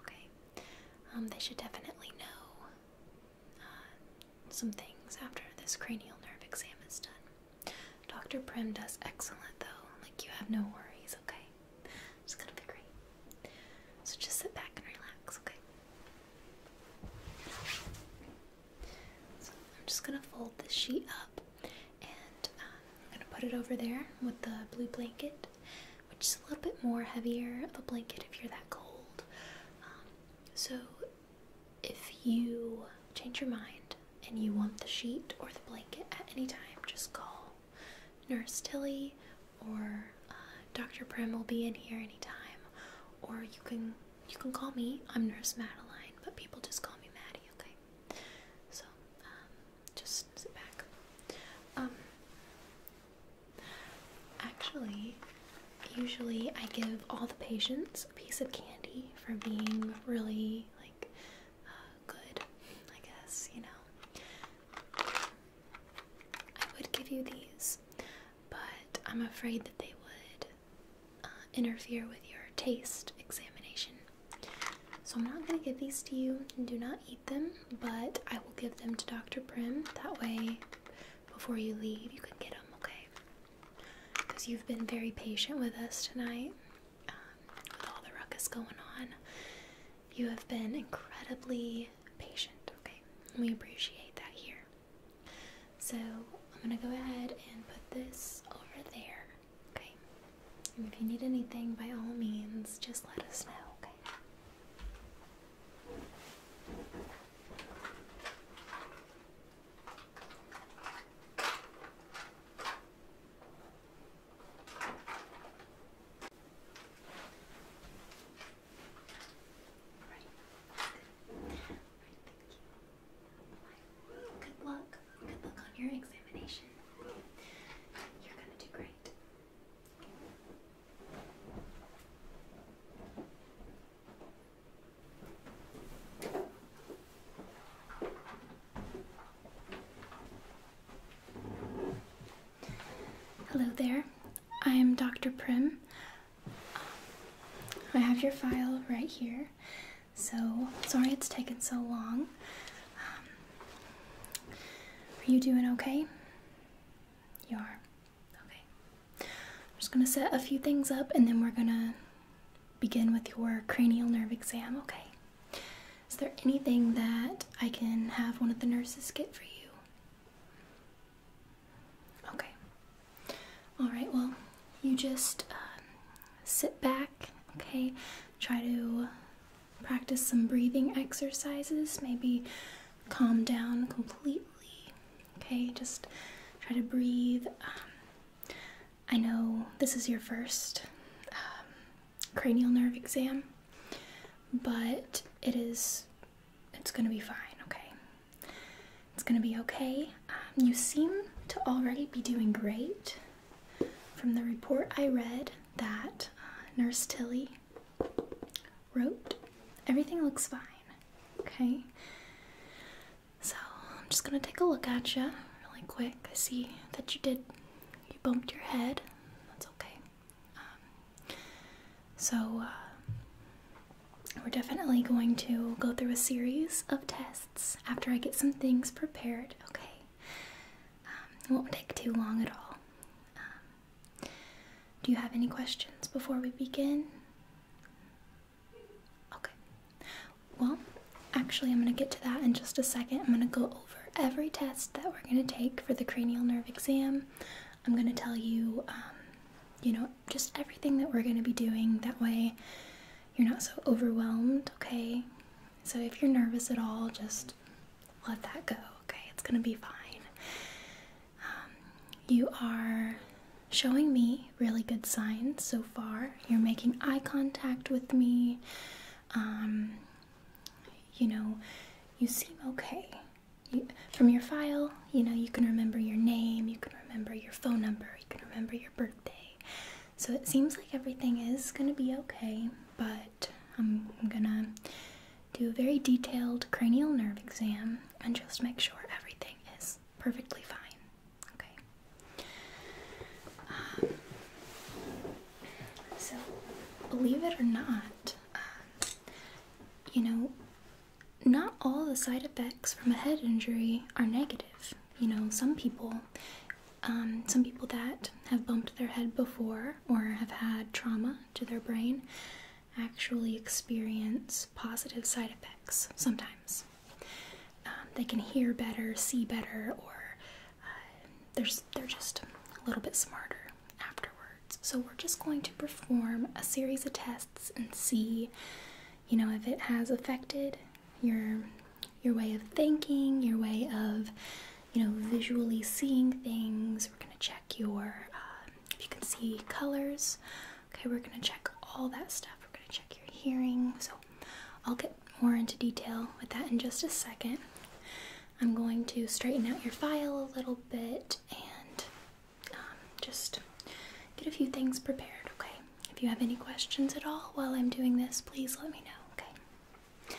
Okay. Um, they should definitely know uh, some things after this cranial nerve exam is done. Dr. Prim does excellent though. Like you have no worries, okay? It's gonna be great. So just sit back and relax, okay? So I'm just gonna fold this sheet up and uh, I'm gonna put it over there with the blue blanket, which is a little bit more heavier of a blanket if you're that cold. Um, so if you change your mind and you want the sheet or the blanket at any time, just call Nurse Tilly or uh, Dr. Prim will be in here anytime. Or you can you can call me. I'm Nurse Madeline, but people just call me Maddie, okay? So um, just sit back. Um, actually, usually I give all the patients a piece of candy for being really like uh, good, I guess, you know. I would give you these, but I'm afraid that they would uh, interfere with your taste examination. So I'm not going to give these to you and do not eat them, but I will give them to Dr. Prim. That way, before you leave, you can get them, okay? Because you've been very patient with us tonight with um, all the ruckus going on. You have been incredibly patient, okay? We appreciate that here. So I'm gonna go ahead and put this over there, okay? if you need anything, by all means, just let us know, okay? Right. Right, Good luck. Good luck on your examination. You're gonna do great. All Hello there, I am Dr. Prim. Um, I have your file right here, so sorry it's taken so long. Um, are you doing okay? You are. Okay. I'm just going to set a few things up and then we're going to begin with your cranial nerve exam, okay? Is there anything that I can have one of the nurses get for you? Okay. All right, well, you just um, sit back, okay? Try to practice some breathing exercises, maybe calm down completely, okay? Just try to breathe. Um, I know this is your first um, cranial nerve exam, but it is, it's gonna be fine, okay? It's gonna be okay. Um, you seem to already be doing great. From the report I read that uh, Nurse Tilly wrote, everything looks fine, okay? So I'm just gonna take a look at you really quick. I see that you did you bumped your head. That's okay. Um, so, uh, we're definitely going to go through a series of tests after I get some things prepared, okay? Um, it won't take too long at all. Um, do you have any questions before we begin? Okay. Well, actually, I'm going to get to that in just a second. I'm going to go for every test that we're going to take for the cranial nerve exam. I'm going to tell you, um, you know, just everything that we're going to be doing. That way, you're not so overwhelmed, okay? So, if you're nervous at all, just let that go, okay? It's going to be fine. Um, you are showing me really good signs so far. You're making eye contact with me. Um, you know, you seem okay. from your file, you know, you can remember your name, you can remember your phone number, you can remember your birthday. So it seems like everything is going to be okay, but I'm going to do a very detailed cranial nerve exam and just make sure everything is perfectly fine. Okay. So, believe it or not, um, you know, not all the side effects from a head injury are negative. You know, some people, um, some people that have bumped their head before or have had trauma to their brain actually experience positive side effects sometimes. Um, they can hear better, see better, or uh, they're, just a little bit smarter afterwards. So we're just going to perform a series of tests and see, you know, if it has affected your your way of thinking, your way of, you know, visually seeing things. We're gonna check your um, if you can see colors. Okay, we're gonna check all that stuff. We're gonna check your hearing. So I'll get more into detail with that in just a second. I'm going to straighten out your file a little bit and um, just get a few things prepared, okay? If you have any questions at all while I'm doing this, please let me know, okay?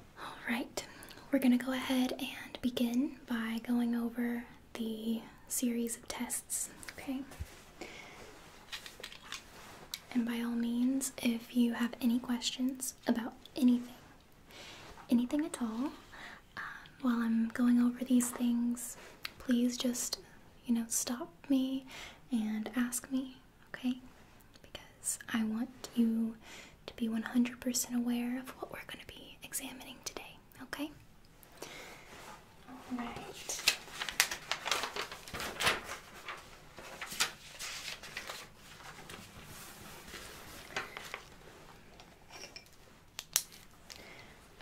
Alright, we're going to go ahead and begin by going over the series of tests, okay? And by all means, if you have any questions about anything, anything at all, um, while I'm going over these things, please just, you know, stop me and ask me, okay? Because I want you to be 100% aware of what we're going to be examining today, okay? Alright.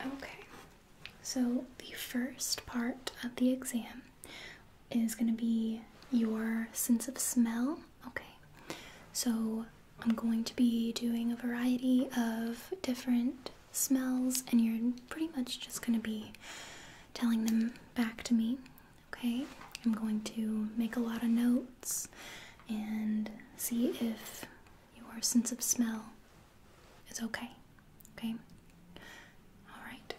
Okay, so the first part of the exam is going to be your sense of smell. Okay, so I'm going to be doing a variety of different smells, and you're pretty much just going to be telling them back to me. Okay, I'm going to make a lot of notes and see if your sense of smell is okay. Okay, all right.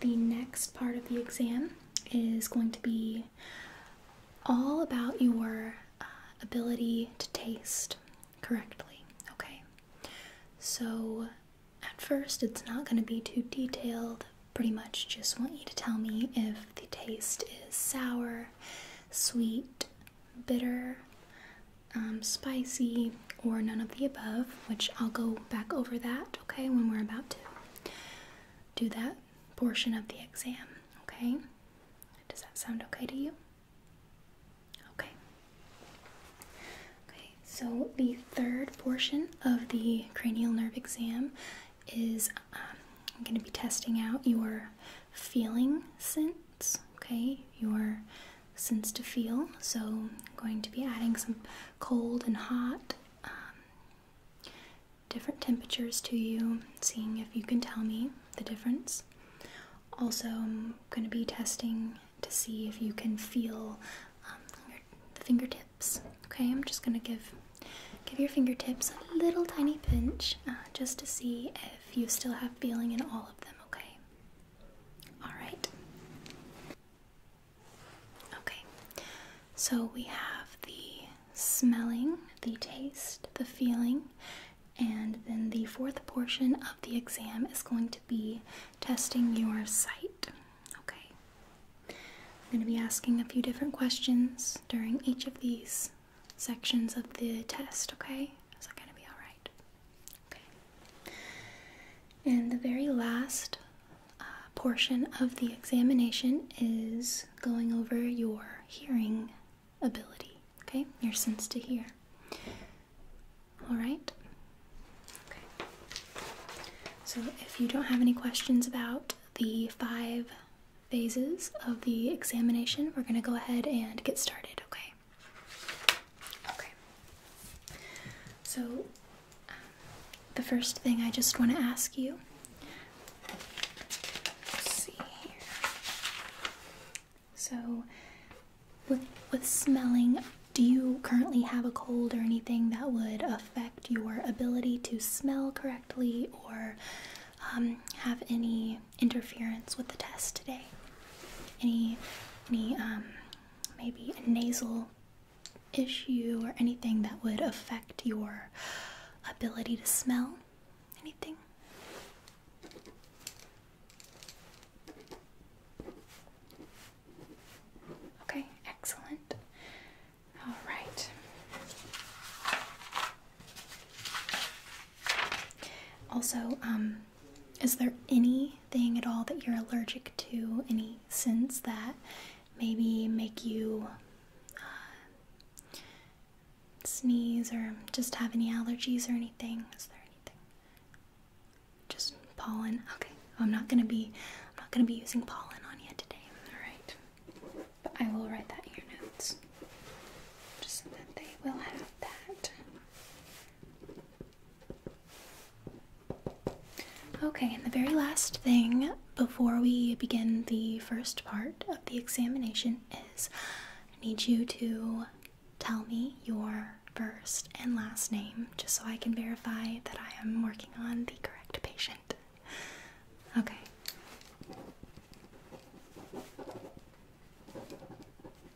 The next part of the exam is going to be all about your uh, ability to taste correctly. Okay, so at first it's not going to be too detailed. Pretty much just want you to tell me if the taste is sour, sweet, bitter, um, spicy, or none of the above, which I'll go back over that, okay, when we're about to do that portion of the exam. Okay? Does that sound okay to you? Okay. Okay, so the third portion of the cranial nerve exam is um, I'm going to be testing out your feeling sense, okay? Your sense to feel. So, I'm going to be adding some cold and hot. Um, different temperatures to you, seeing if you can tell me the difference. Also, I'm going to be testing to see if you can feel um, the fingertips. Okay, I'm just going to give give your fingertips a little tiny pinch uh, just to see if you still have feeling in all of them. Okay. All right. Okay. So we have the smelling, the taste, the feeling, and then the fourth portion of the exam is going to be testing your sight. Okay. I'm going to be asking a few different questions during each of these sections of the test, okay? Is that going to be all right? Okay. And the very last uh, portion of the examination is going over your hearing ability, okay? Your sense to hear. Alright? So if you don't have any questions about the five phases of the examination, we're going to go ahead and get started, okay? Okay. So um, the first thing I just want to ask you so, with with smelling, do you currently have a cold or anything that would affect your ability to smell correctly or um, have any interference with the test today? Any any um, maybe a nasal issue or anything that would affect your ability to smell? Anything? Okay, excellent. All right. Also, um, is there anything at all that you're allergic to? Any sins that maybe make you uh, sneeze or just have any allergies or anything? Is there anything? Just pollen. Okay. I'm not gonna be I'm not gonna be using pollen on you today. Alright. But I will write that in your notes. Just so that they will have that. Okay, and the very last thing before we begin the first part of the examination is I need you to tell me your first and last name just so I can verify that I am working on the correct patient. Okay.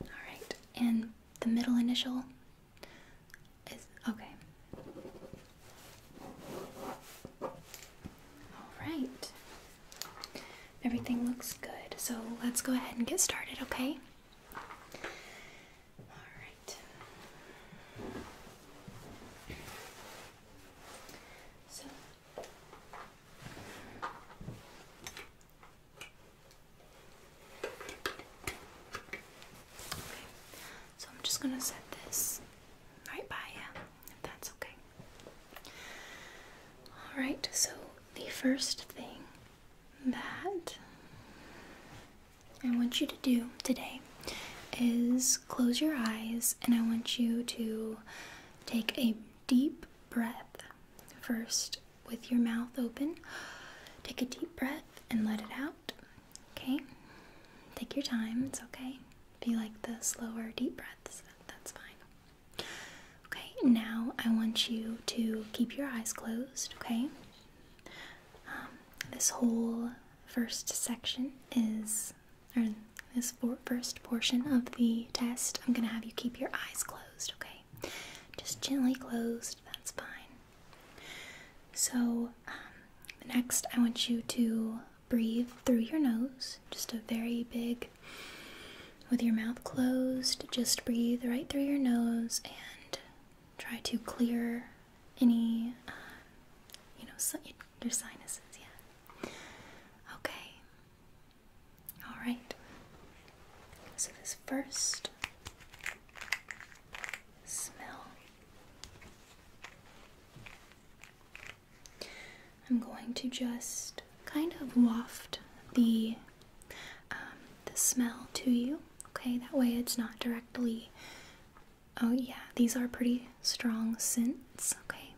Alright, and the middle initial is okay. Alright, Everything looks good, so let's go ahead and get started, okay? All right. So I'm just going to set this right by you if that's okay. Alright, so the first thing that I want you to do today is close your eyes and I want you to take a deep breath first with your mouth open. Take a deep breath and let it out. Okay? Take your time, it's okay. If you like the slower deep breaths, that's fine. Okay, now I want you to keep your eyes closed, okay? Um, this whole first section is, or this first portion of the test, I'm gonna have you keep your eyes closed, okay? Just gently closed, that's fine. So, um, next I want you to breathe through your nose, just a very big, with your mouth closed, just breathe right through your nose and try to clear any, uh, you know, your sinuses. Yeah. Okay. All right. So this first smell. I'm going to just kind of waft the um, the smell to you. Okay, that way it's not directly. Oh yeah, these are pretty strong scents. Okay,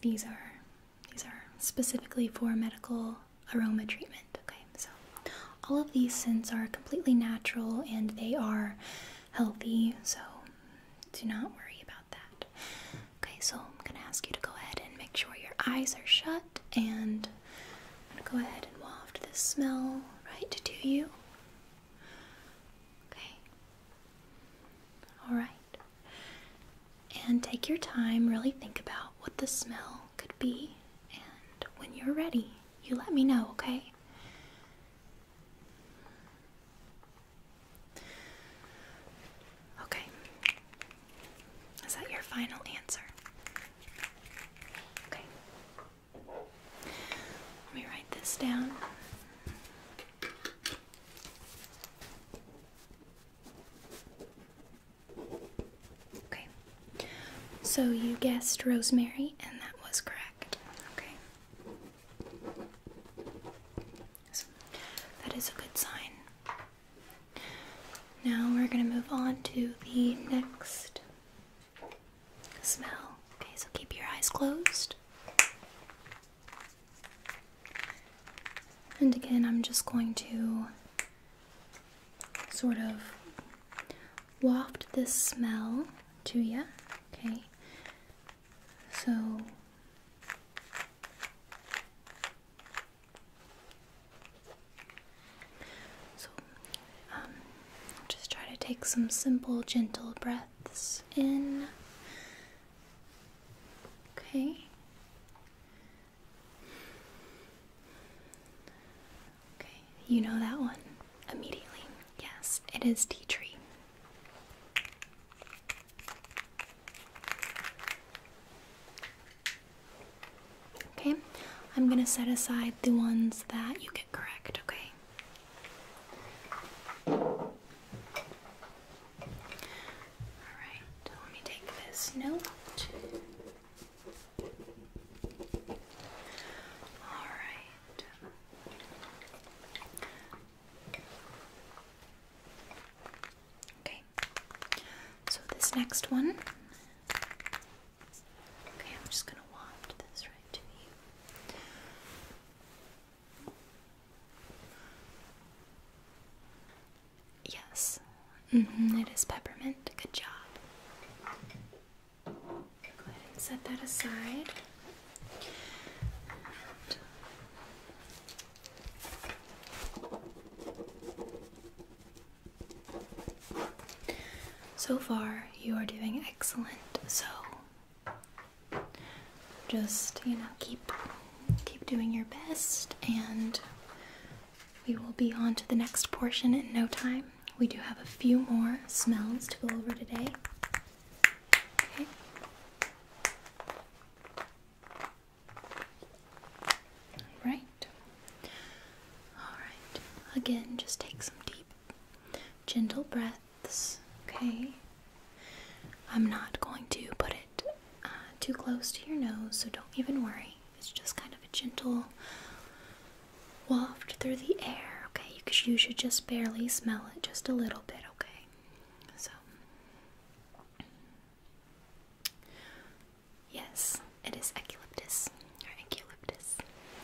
these are these are specifically for medical aroma treatment. Okay, so all of these scents are completely natural and they are healthy. So do not worry about that. Okay, so I'm gonna ask you to go ahead and make sure your eyes are shut, and go ahead and waft the smell right to you. Okay. Alright. And take your time, really think about what the smell could be, and when you're ready, you let me know, okay? Okay. Is that your final answer? Okay. Let me write this down. Okay. So you guessed Rosemary, and that was correct. Okay that is a good sign. Now we're going to move on to the next smell. Okay, so keep your eyes closed. And again, I'm just going to sort of waft this smell to you. Okay, so so um just try to take some simple gentle breaths in okay okay you know that one immediately yes it is tea tree Okay, I'm gonna set aside the ones that you get correct, okay? Alright, let me take this note. Alright. Okay, so this next one. Okay, I'm just going to waft this right to you. Yes, mm-hmm, it is peppermint. Good job. Go ahead and set that aside. So far, you are doing excellent. So just, you know, keep keep doing your best and we will be on to the next portion in no time. We do have a few more smells to go over today. Right. Alright. Again, just take some deep, gentle breaths, okay? I'm not going to put it uh, too close to your nose, so don't even worry. It's just kind of a gentle waft through the air, okay? You should just barely smell it just a little bit, okay? So. Yes, it is eucalyptus or eucalyptus.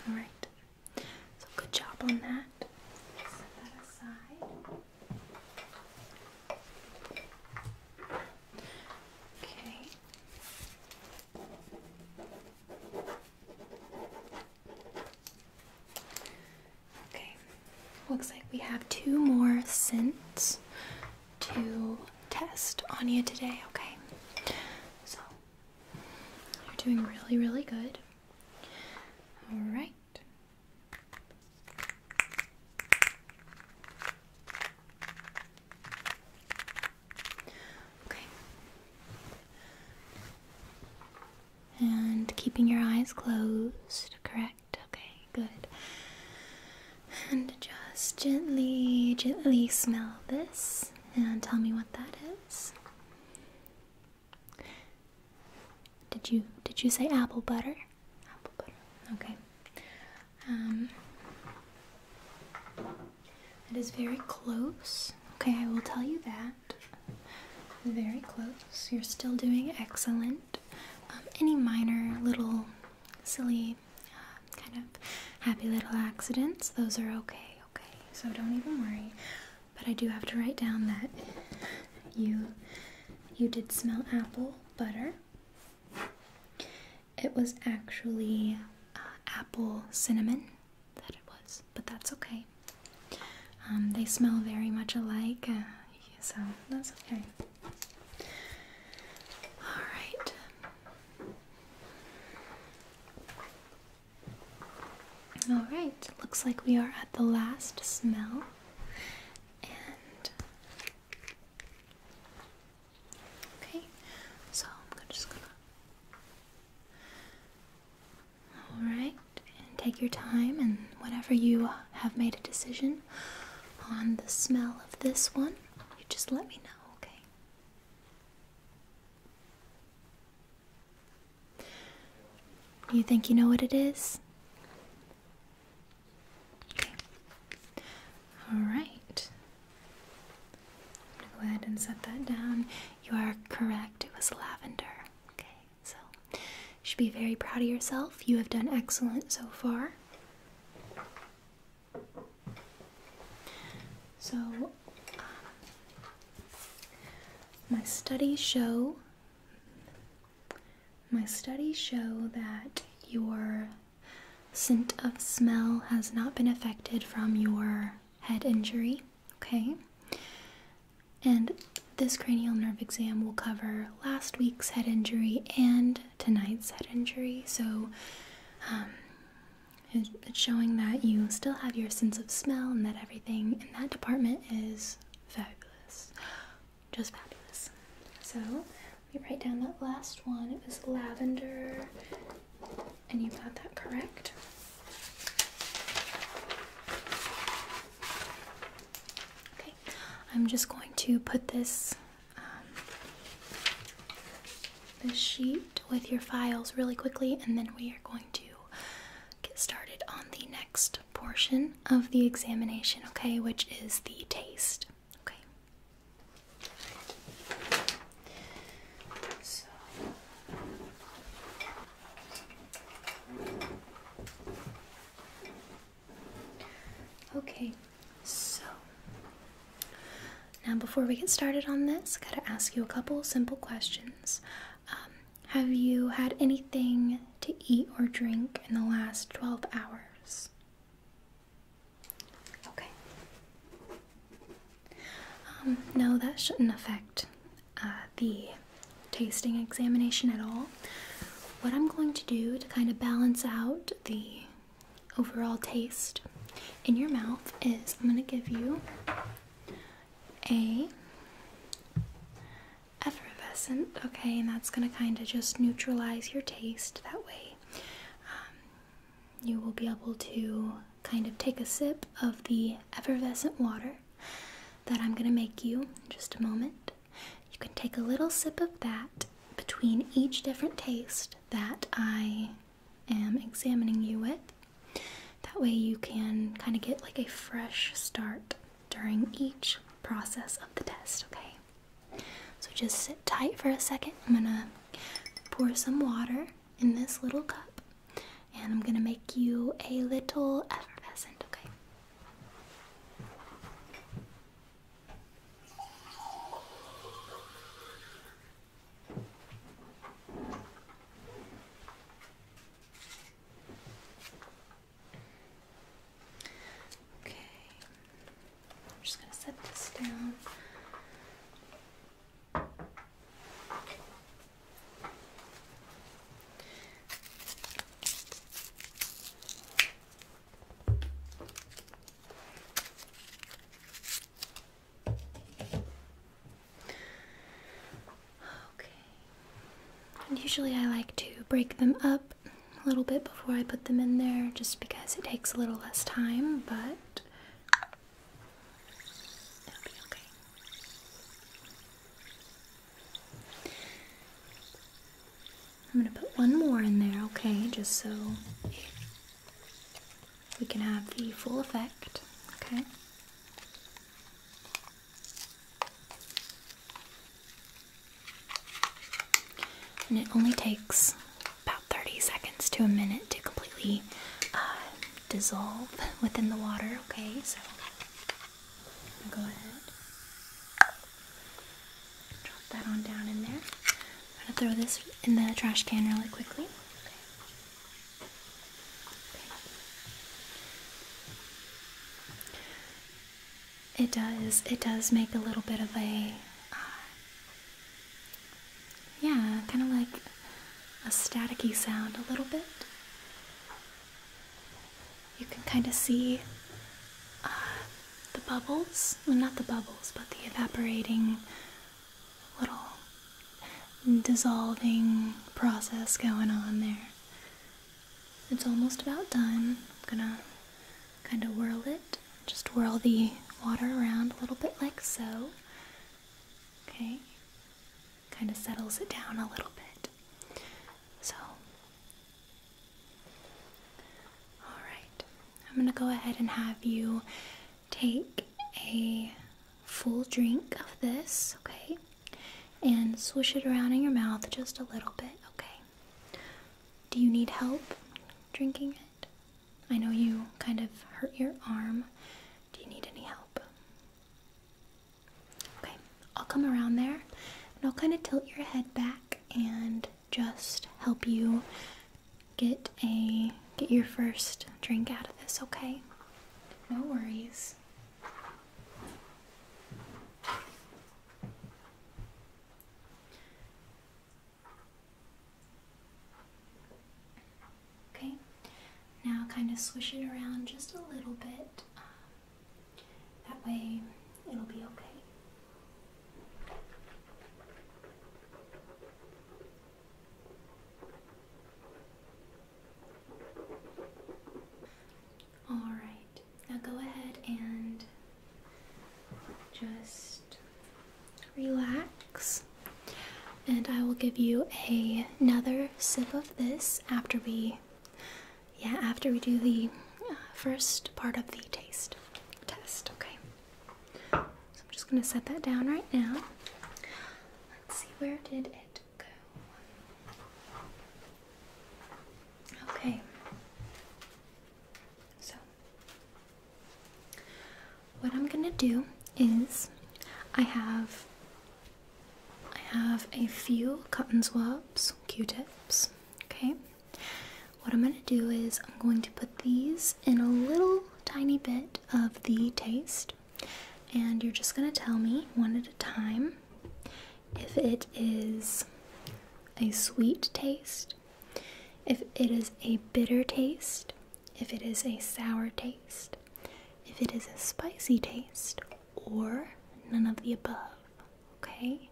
All right. So good job on that. Okay. Okay, Looks like we have two more scents to test on you today, okay? So, you're doing really, really good. Alright. Okay. And keeping your eyes closed, correct? Okay, good. And just gently, gently smell this and tell me what that is. Did you did you say apple butter? Apple butter. Okay. Um it is very close. Okay, I will tell you that. Very close. You're still doing excellent. Um, any minor little silly uh, kind of happy little accidents, those are okay, okay? So don't even worry. But I do have to write down that you you did smell apple butter. It was actually uh, apple cinnamon that it was, but that's okay. Um, they smell very much alike, uh, so that's okay. All right. All right, looks like we are at the last smell. And okay, so I'm gonna. All right, and take your time and whatever you uh, have made a decision on the smell of this one, you just let me know, okay? You think you know what it is? Okay. Alright. I'm gonna go ahead and set that down. You are correct, it was lavender. Okay, so you should be very proud of yourself. You have done excellent so far. So, um, my studies show my studies show that your scent of smell has not been affected from your head injury, okay? And this cranial nerve exam will cover last week's head injury and tonight's head injury, so um, it's showing that you still have your sense of smell and that everything in that department is fabulous. Just fabulous. So, let me write down that last one. It was lavender, and you got that correct. Okay, I'm just going to put this um, the sheet with your files really quickly, and then we are going to get started on the next portion of the examination, okay, which is the taste. Okay. Okay, so now before we get started on this, I gotta ask you a couple simple questions. Um, have you had anything to eat or drink in the last 12 hours? Okay. Um, no, that shouldn't affect uh, the tasting examination at all. What I'm going to do to kind of balance out the overall taste in your mouth is I'm going to give you a effervescent, okay, and that's going to kind of just neutralize your taste that way. Um, you will be able to kind of take a sip of the effervescent water that I'm going to make you in just a moment. You can take a little sip of that between each different taste that I am examining you with. That way, you can kind of get like a fresh start during each process of the test, okay? So just sit tight for a second. I'm gonna pour some water in this little cup and I'm gonna make you a little effervescent, okay? Okay, I'm just going to set this down usually I like to break them up a little bit before I put them in there just because it takes a little less time, but it'll be okay. I'm going to put one more in there, okay, just so we can have the full effect, okay? And it only takes about 30 seconds to a minute to completely uh, dissolve within the water, okay? So, go ahead. Drop that on down in there. I'm gonna throw this in the trash can really quickly. It does. It does make a little bit of a, uh, yeah, kind of like a staticky sound a little bit. You can kind of see uh, the bubbles well, not the bubbles but the evaporating little dissolving process going on there it's almost about done i'm gonna kind of whirl it just whirl the water around a little bit like so okay kind of settles it down a little bit so all right I'm going to go ahead and have you take a full drink of this, okay? And swish it around in your mouth just a little bit, okay? Do you need help drinking it? I know you kind of hurt your arm. Do you need any help? Okay, I'll come around there and I'll kind of tilt your head back and just help you get a get your first drink out of this, okay? No worries. Okay, now kind of swish it around just a little bit. Um, that way it'll be okay. All right, now go ahead and just relax, and I will give you another sip of this after we, yeah, after we do the uh, first part of the taste test. Okay. So I'm just going to set that down right now. Let's see, where did it go? Okay. So, what I'm going to do is I have I have a few cotton swabs, Q-tips, okay? What I'm going to do is I'm going to put these in a little tiny bit of the taste, and you're just going to tell me one at a time if it is a sweet taste, if it is a bitter taste, if it is a sour taste, if it is a spicy taste, or none of the above, okay?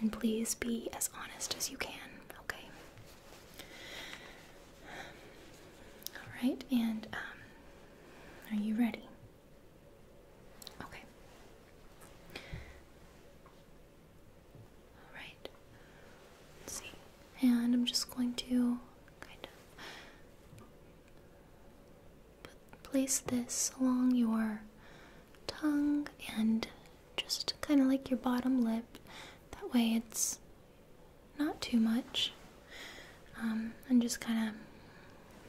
And please be as honest as you can, okay? All right, and um, are you ready? Okay. All see, and I'm just going to kind of place this along your tongue and just kind of like your bottom lip. That way it's not too much. Um, and just kind of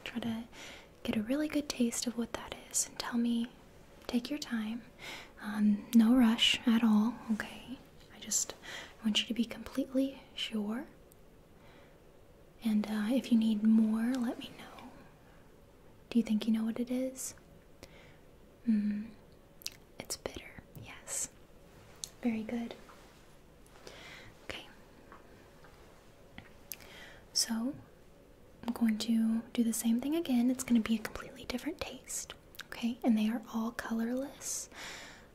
try to get a really good taste of what that is and tell me, take your time. Um, no rush at all, okay? I just want you to be completely sure. And uh, if you need more, let me know. Do you think you know what it is? Mm, it's bitter, yes. Very good. Okay. So, I'm going to do the same thing again. It's going to be a completely different taste, okay? And they are all colorless,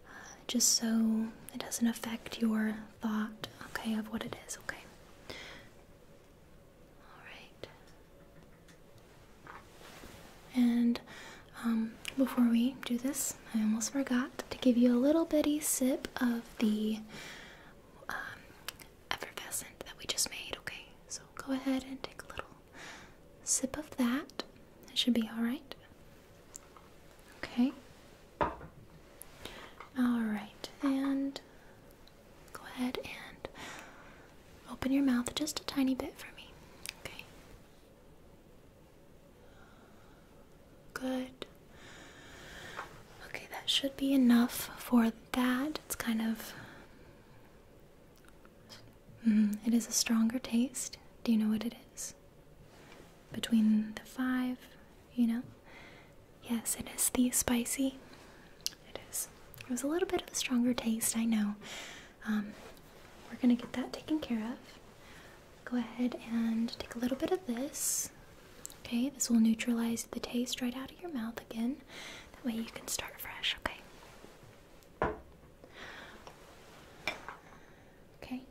uh, just so it doesn't affect your thought, okay, of what it is, okay? All right. And um, before we do this, I almost forgot to give you a little bitty sip of the um, effervescent that we just made, okay? So go ahead and take a little sip of that. It should be alright. Okay. Alright, and go ahead and Open your mouth just a tiny bit for me. Okay. Good. Okay, that should be enough for that. It's kind of. Mm-hmm, it is a stronger taste. Do you know what it is? Between the five, you know? Yes, it is the spicy. It is. It was a little bit of a stronger taste, I know. Um, we're going to get that taken care of. Go ahead and take a little bit of this. Okay, this will neutralize the taste right out of your mouth again. That way you can start fresh, okay? Okay.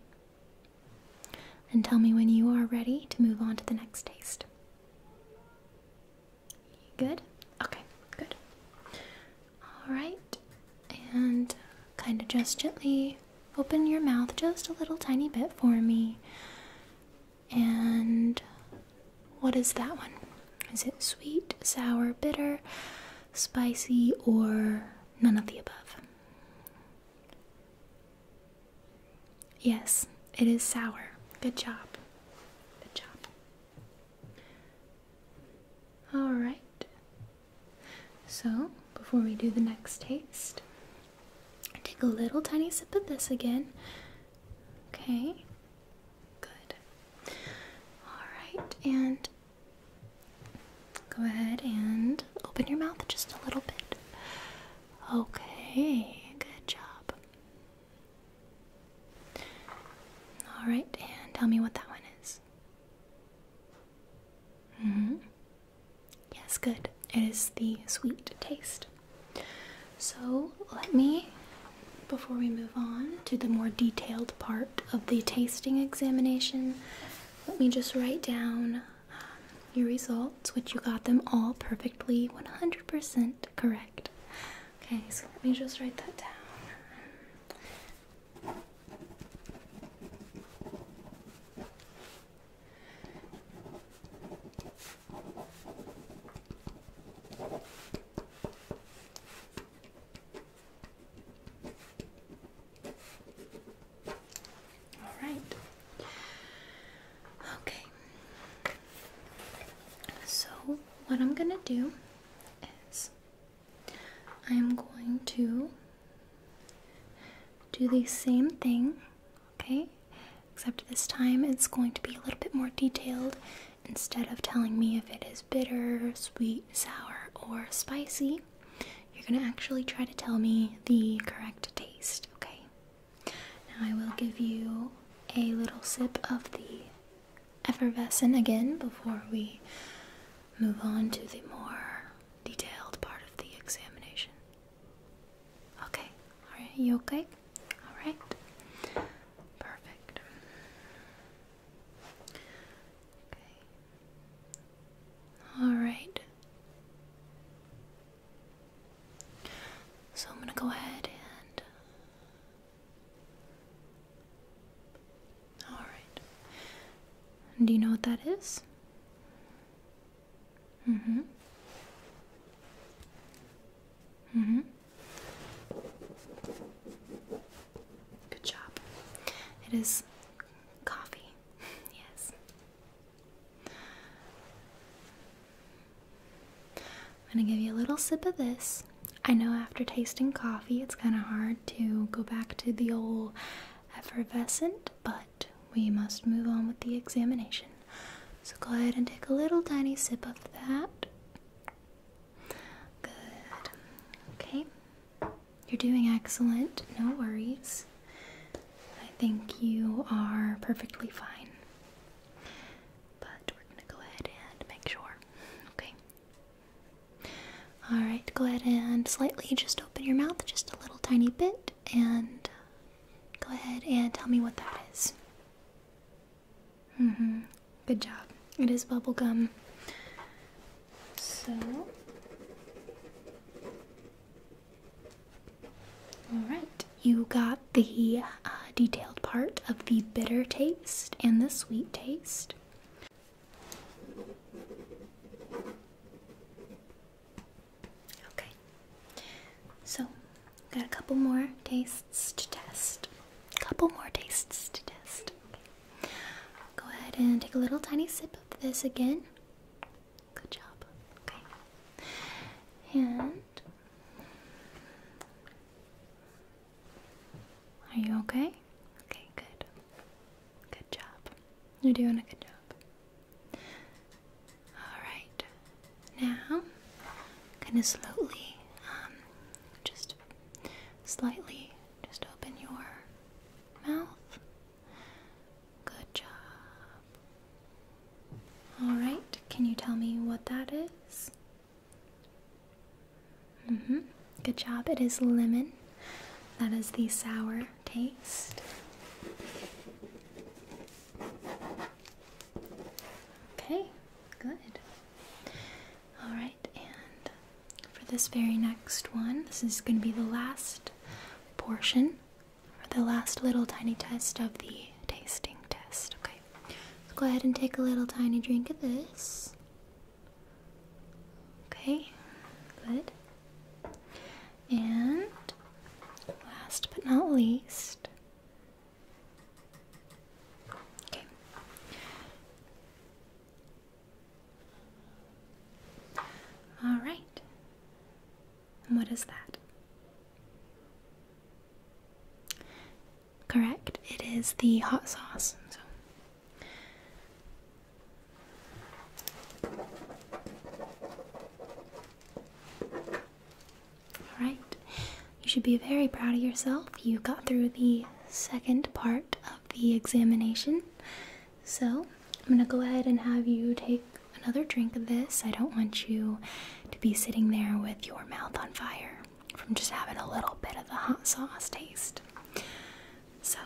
And tell me when you are ready to move on to the next taste. Good? Okay, good. Alright, and uh, kind of just gently open your mouth just a little tiny bit for me. And what is that one? Is it sweet, sour, bitter, spicy, or none of the above? Yes, it is sour. Good job. Good job. Alright, so before we do the next taste, take a little tiny sip of this again. Okay, good. Alright, and go ahead and open your mouth just a little bit. Okay, good job. All right, and tell me what that one is. Mm-hmm. Yes, good. It is the sweet taste. So let me, before we move on to the more detailed part of the tasting examination, let me just write down um, your results, which you got them all perfectly 100% correct. Okay, so let me just write that down. All right. Okay. So, what I'm going to do is I'm going to do the same thing, okay? Except this time it's going to be a little bit more detailed instead of telling me if it is bitter, sweet, sour, or spicy. You're going to actually try to tell me the correct taste, okay? Now I will give you a little sip of the effervescent again before we move on to the more detailed part of the examination. Okay, alright, you okay? Alright, perfect. Okay, alright. So I'm going to go ahead and all right. Do you know what that is? hmm. hmm. Good job. It is coffee. yes. I'm going to give you a little sip of this. I know after tasting coffee, it's kind of hard to go back to the old effervescent, but we must move on with the examination. So go ahead and take a little tiny sip of that. Good. Okay. You're doing excellent. No worries. I think you are perfectly fine. But we're going to go ahead and make sure. Okay. Alright, go ahead and slightly just open your mouth just a little tiny bit and uh, go ahead and tell me what that is. Mm hmm. Good job. It is bubblegum. So. Alright, you got the uh, detailed part of the bitter taste and the sweet taste. Okay, so got a couple more tastes to test. A couple more tastes to test. Go ahead and take a little tiny sip of this again. Good job. Okay. And are you okay? Okay, good. Good job. You're doing a good job. Alright. Now, kind of slowly, um, just slightly, just open your mouth. Good job. Alright, can you tell me what that is? -hmm. Good job. It is lemon. That is the sour taste. Okay, good. All right, and for this very next one, this is going to be the last portion or the last little tiny test of the tasting test. Okay, let's go ahead and take a little tiny drink of this. Okay, good. And last but not least, okay. All right. And what is that? Correct. It is the hot sauce. All right. You should be very proud of yourself. You got through the second part of the examination. So, I'm going to go ahead and have you take another drink of this. I don't want you to be sitting there with your mouth on fire from just having a little bit of the hot sauce taste. So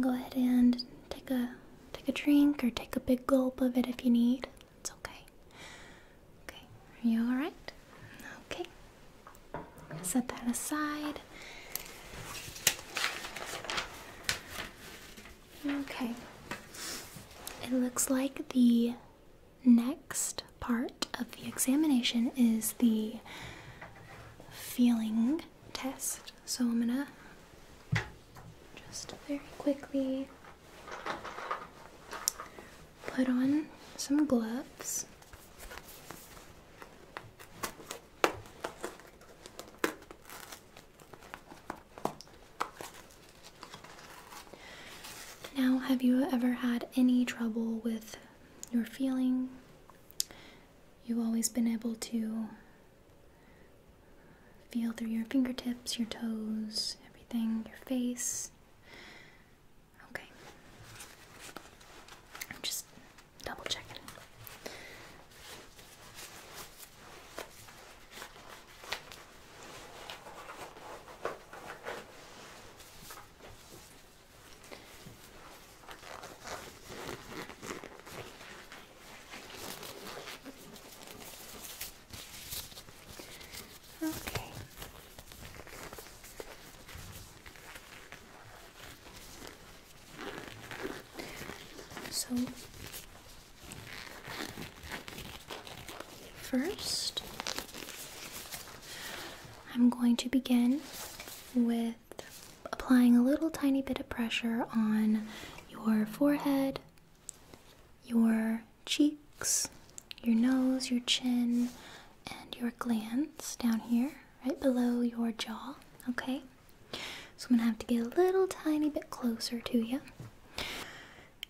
go ahead and take a take a drink or take a big gulp of it if you need. It's okay. Okay, are you all right? Okay. Set that aside. Okay. It looks like the next part of the examination is the feeling test. So I'm gonna just very quickly put on some gloves. Now, have you ever had any trouble with your feeling You've always been able to feel through your fingertips, your toes, everything, your face. Okay. I'm just double checking. Okay. So first, I'm going to begin with applying a little tiny bit of pressure on your forehead, your cheeks, your nose, your chin, and your glands down here, right below your jaw. Okay? So I'm gonna have to get a little tiny bit closer to you.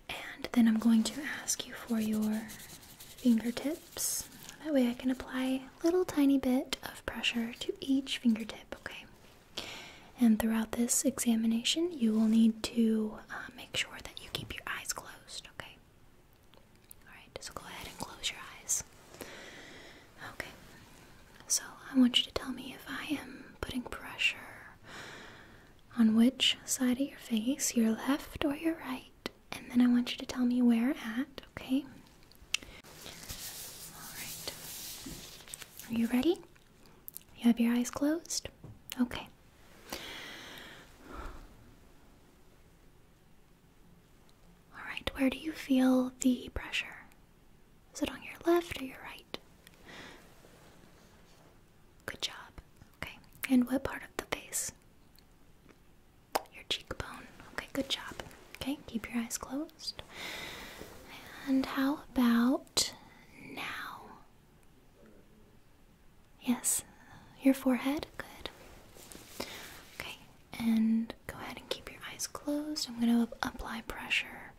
And then I'm going to ask you for your fingertips. That way I can apply a little tiny bit of pressure to each fingertip, okay? And throughout this examination, you will need to uh, make sure that you keep your eyes closed, okay? Alright, so go ahead and close your eyes. Okay, so I want you to tell me if I am putting pressure on which side of your face, your left or your right? and then I want you to tell me where at, okay? Alright. Are you ready? You have your eyes closed? Okay. Alright, where do you feel the pressure? Is it on your left or your right? Good job. Okay, and what part of the face? your cheekbone. Okay, good job. Okay, keep your eyes closed. And how about now? Yes, your forehead. Good. Okay, and go ahead and keep your eyes closed. I'm going to apply pressure.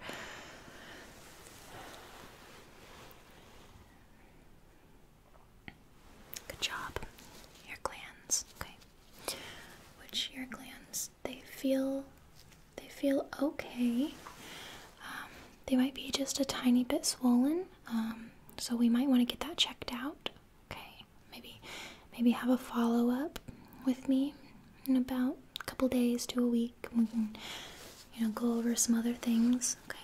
Good job. Your glands. Okay which your glands they feel they feel okay. Um, they might be just a tiny bit swollen, um, so we might want to get that checked out. Okay, maybe maybe have a follow up with me in about a couple days to a week. We can you know go over some other things. Okay.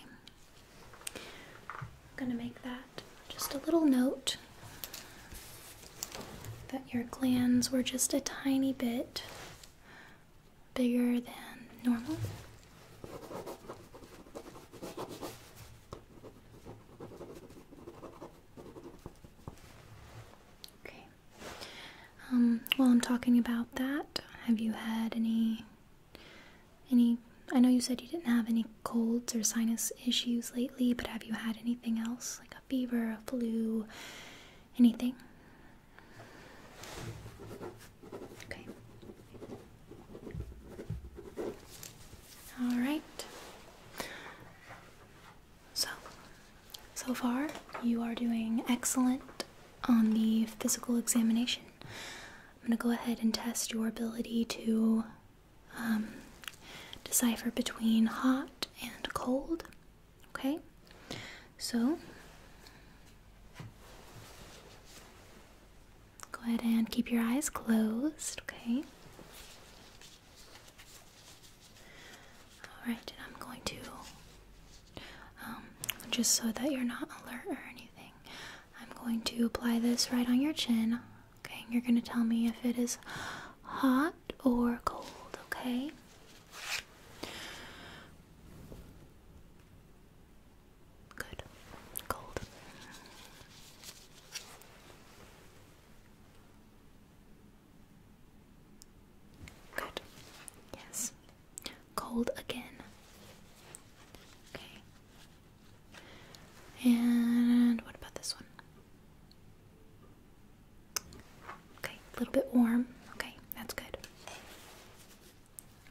I'm going to make that just a little note that your glands were just a tiny bit bigger than normal. Okay. Um, while I'm talking about that, have you had any any I know you said you didn't have any colds or sinus issues lately, but have you had anything else like a fever, a flu, anything? Okay. All right. So, so far, you are doing excellent on the physical examination. I'm going to go ahead and test your ability to um, decipher between hot and cold. Okay, so go ahead and keep your eyes closed. Okay. All right, I'm going to um, just so that you're not alert or anything. I'm going to apply this right on your chin. Okay, you're gonna tell me if it is hot or cold, okay? Good. Cold. Good. Yes. Cold again. Okay. And what about this one? Okay, a little bit warm. Okay, that's good.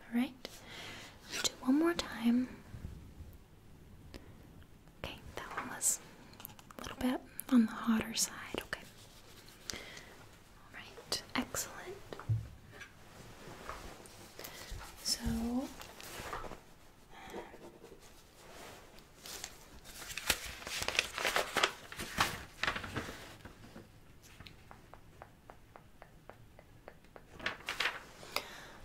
All right, I'll do one more time. Okay, that one was a little bit on the hotter side. Okay. All right, excellent. So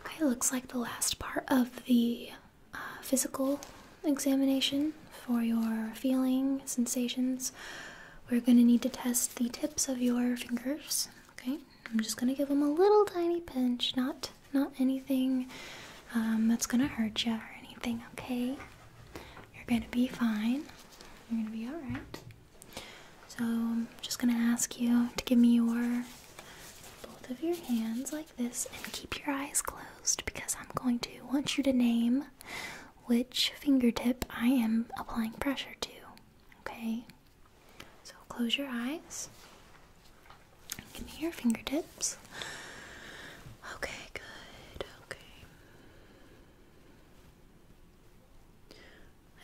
Okay, looks like the last part of the uh, physical examination for your feelings, sensations. We're going to need to test the tips of your fingers. Okay, I'm just going to give them a little tiny pinch, not not anything um, that's gonna hurt you or anything, okay? You're gonna be fine. You're gonna be alright. So, I'm just gonna ask you to give me your both of your hands like this and keep your eyes closed because I'm going to want you to name which fingertip I am applying pressure to, okay? So, close your eyes. Give me your fingertips. Okay, good. Okay.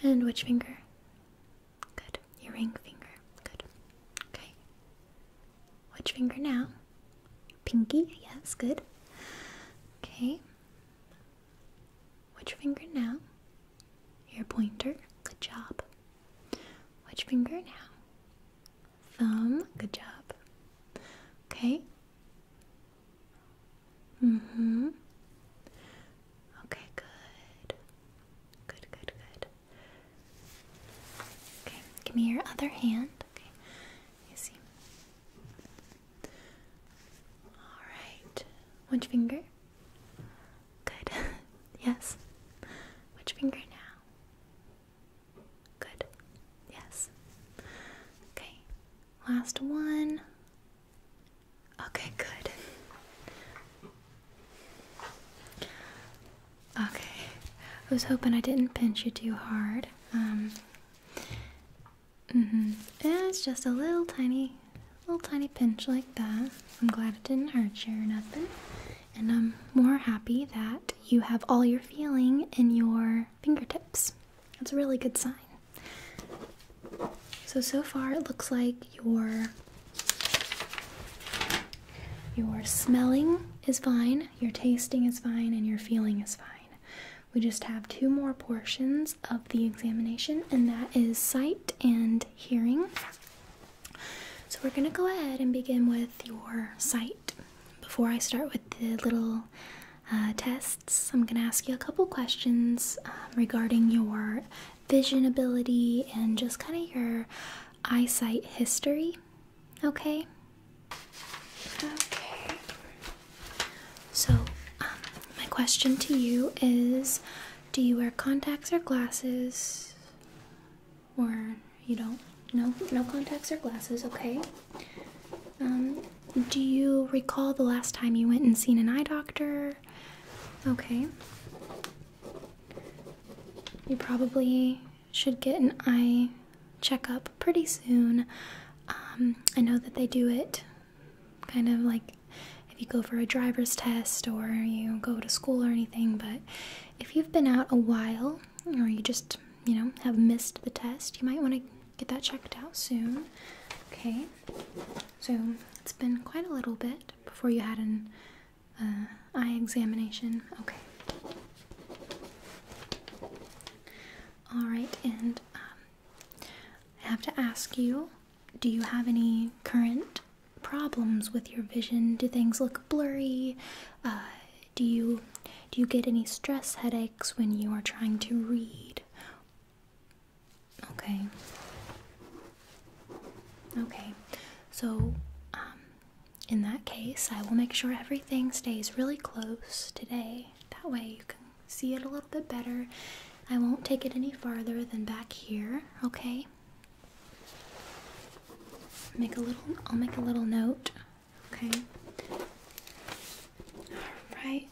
And which finger? Good. Your ring finger. Good. Okay. Which finger now? Pinky? Yeah, Yes, good. Okay. Which finger now? Your pointer. Good job. Which finger now? thumb. Good job. Okay. Mm-hmm. Okay, good. Good, good, good. Okay, give me your other hand. Okay. You see. Alright. Which finger? Good. yes. Which finger now? Good. Yes. Okay. Last one. Okay, good. Okay. I was hoping I didn't pinch you too hard. Um Mm-hmm. It's just a little tiny little tiny pinch like that. I'm glad it didn't hurt you or nothing. And I'm more happy that you have all your feeling in your fingertips. That's a really good sign. So so far it looks like your your smelling is fine, your tasting is fine, and your feeling is fine. We just have two more portions of the examination, and that is sight and hearing. So we're going to go ahead and begin with your sight before I start with the little uh, tests, I'm gonna ask you a couple questions um, regarding your vision ability and just kind of your eyesight history. Okay. Okay. So, um, my question to you is Do you wear contacts or glasses? or you don't. No, no contacts or glasses, okay? Um, do you recall the last time you went and seen an eye doctor? Okay. You probably should get an eye checkup pretty soon. Um, I know that they do it kind of like if you go for a driver's test or you go to school or anything, but if you've been out a while or you just you know have missed the test you might want to get that checked out soon okay so it's been quite a little bit before you had an uh, eye examination okay all right and um, i have to ask you do you have any current problems with your vision do things look blurry uh, do you do you get any stress headaches when you are trying to read? Okay. Okay. So um, in that case, I will make sure everything stays really close today. That way you can see it a little bit better. I won't take it any farther than back here, okay? Make a little I'll make a little note Okay. All right.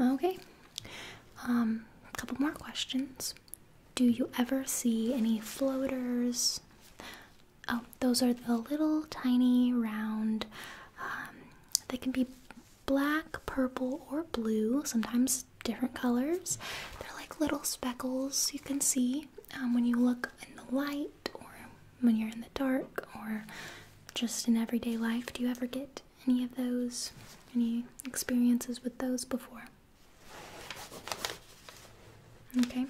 Okay. Um, a couple more questions. Do you ever see any floaters? Oh, those are the little tiny round. Um, they can be black, purple, or blue, sometimes different colors. They're like little speckles you can see um, when you look in the light or when you're in the dark or just in everyday life. Do you ever get any of those, any experiences with those before? Okay.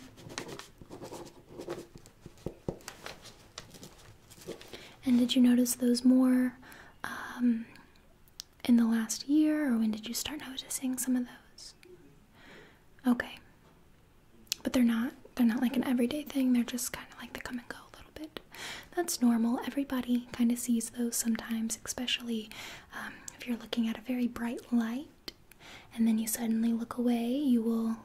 And did you notice those more um, in the last year, or when did you start noticing some of those? Okay. But they're not they're not like an everyday thing. They're just kind of like they come and go a little bit. That's normal. Everybody kind of sees those sometimes, especially um, if you're looking at a very bright light and then you suddenly look away, you will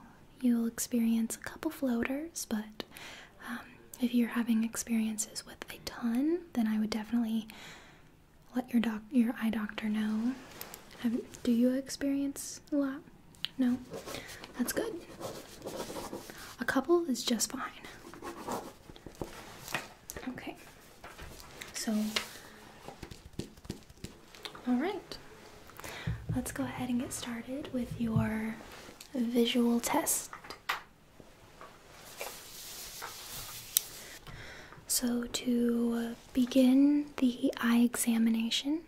you'll experience a couple floaters, but um, if you're having experiences with a ton, then I would definitely let your doc your eye doctor know. do you experience a lot? No, that's good. A couple is just fine. Okay. So, all right. Let's go ahead and get started with your visual test. So, to begin the eye examination,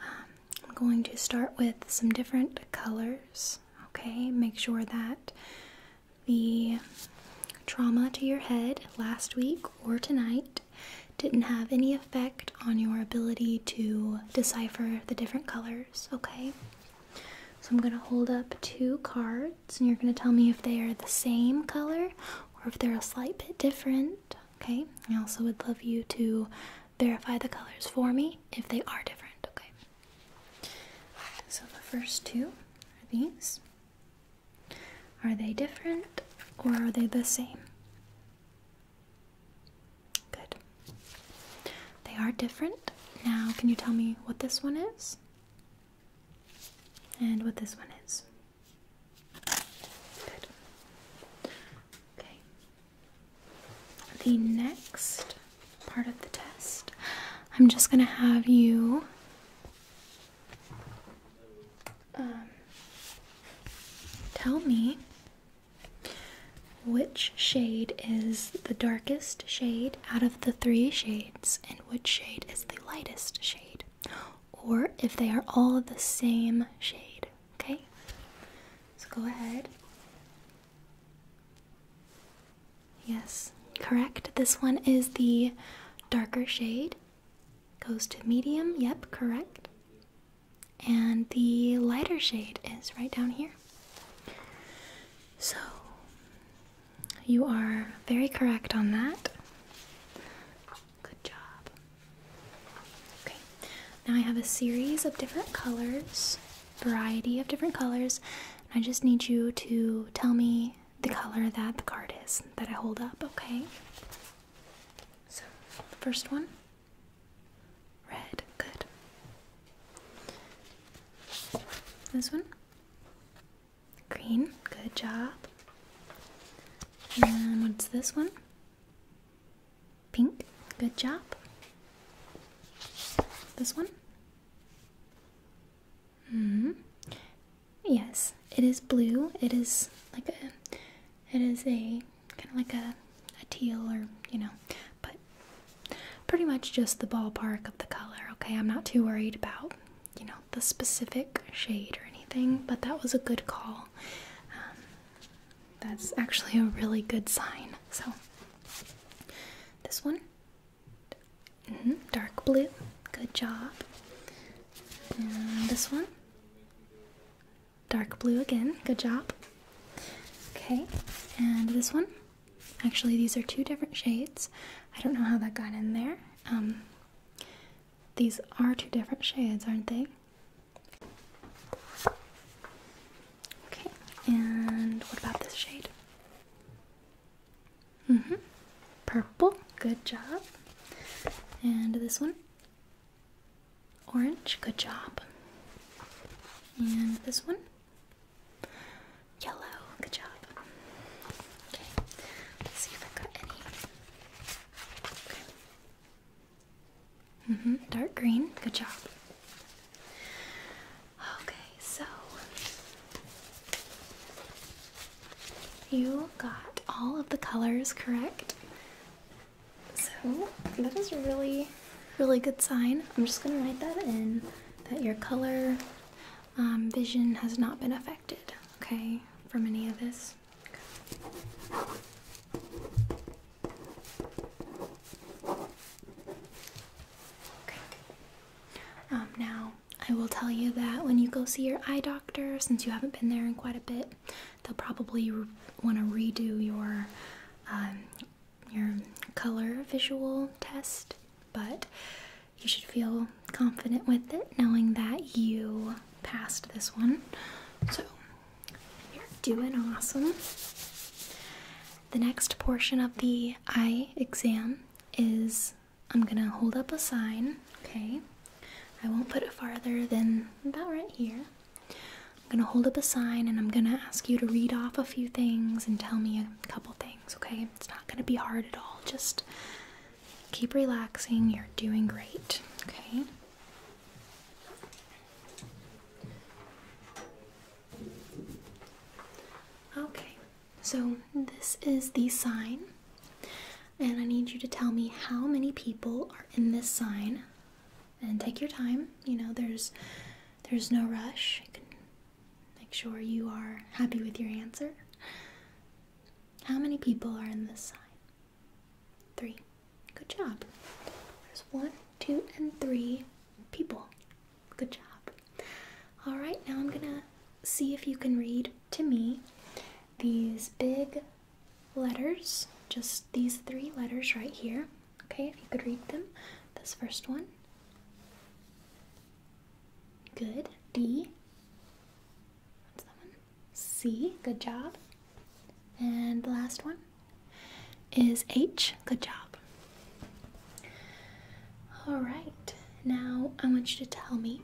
um, I'm going to start with some different colors. Okay, make sure that the trauma to your head last week or tonight didn't have any effect on your ability to decipher the different colors. Okay, so I'm going to hold up two cards and you're going to tell me if they are the same color or if they're a slight bit different. Okay, I also would love you to verify the colors for me if they are different. Okay, so the first two are these. Are they different or are they the same? Good. They are different. Now, can you tell me what this one is? And what this one is. Okay. The next part of the test, I'm just going to have you um, tell me which shade is the darkest shade out of the three shades and which shade is the lightest shade or if they are all of the same shade. Okay? So go ahead. Yes, correct. This one is the darker shade. Goes to medium. Yep, correct. And the lighter shade is right down here. So, you are very correct on that. Good job. Okay, now I have a series of different colors, variety of different colors, I just need you to tell me the color that the card is that I hold up, okay? So, the first one red, good. This one Green, good job. And what's this one? Pink, good job. This one? hmm. Yes, it is blue. It is like a, it is a kind of like a, a teal or you know, but pretty much just the ballpark of the color. Okay, I'm not too worried about you know, the specific shade or anything, but that was a good call. Um, that's actually a really good sign. So, this one, mm-hmm, dark blue, good job. And this one, dark blue again, good job. Okay, and this one. Actually, these are two different shades. I don't know how that got in there. Um, these are two different shades, aren't they? Okay, and what about this shade? hmm Purple, good job. And this one? Orange, good job. And this one? Yellow, good job. Okay, let's see if i got any Mm-hmm. Dark green. Good job. Okay, so you got all of the colors correct. So that is a really, really good sign. I'm just gonna write that in that your color um, vision has not been affected, okay, from any of this. Um, now, I will tell you that when you go see your eye doctor, since you haven't been there in quite a bit, they'll probably want to redo your um, your color visual test, but you should feel confident with it, knowing that you passed this one. So you're doing awesome. The next portion of the eye exam is I'm gonna hold up a sign, okay? I won't put it farther than about right here. I'm gonna hold up a sign and I'm gonna ask you to read off a few things and tell me a couple things, okay? It's not gonna be hard at all, just Keep relaxing, you're doing great, okay? Okay, so this is the sign, and I need you to tell me how many people are in this sign. And take your time, you know, there's there's no rush. make sure you are happy with your answer. How many people are in this sign? Three. Good job. There's one, two, and three people. Good job. All right, now I'm gonna see if you can read to me these big letters, just these three letters right here. Okay, if you could read them. This first one. Good. D. C. Good job. And the last one is H. Good job. All right. Now I want you to tell me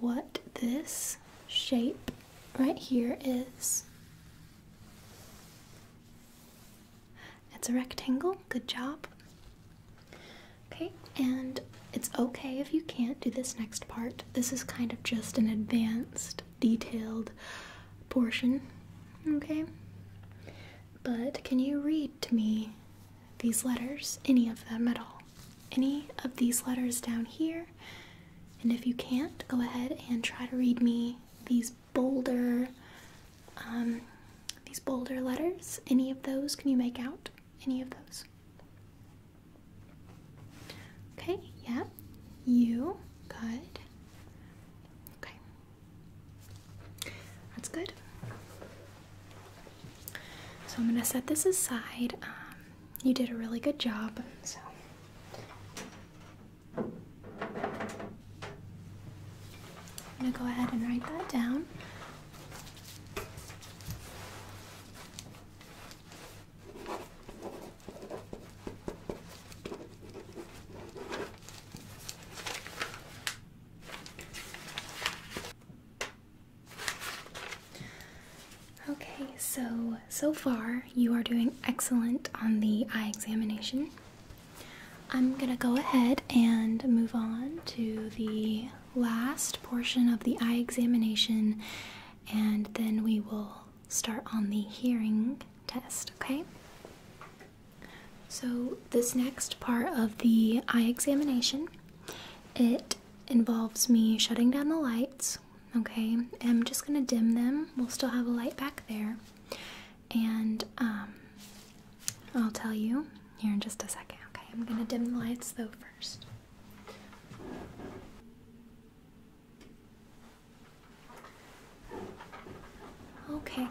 what this shape right here is. It's a rectangle. Good job. Okay, and it's okay if you can't do this next part. This is kind of just an advanced, detailed portion. Okay? But can you read to me these letters? Any of them at all? Any of these letters down here? And if you can't, go ahead and try to read me these bolder, um, these bolder letters. Any of those can you make out? any of those? Okay, Yep. You, good. Okay. That's good. So I'm going to set this aside. Um, you did a really good job, so. I'm going to go ahead and write that down. Okay, so so far you are doing excellent on the eye examination. I'm gonna go ahead and move on to the last portion of the eye examination, and then we will start on the hearing test, okay? So, this next part of the eye examination, it involves me shutting down the lights, okay? I'm just gonna dim them. We'll still have a light back there. And um, I'll tell you here in just a second, okay? I'm gonna dim the lights though first. Okay.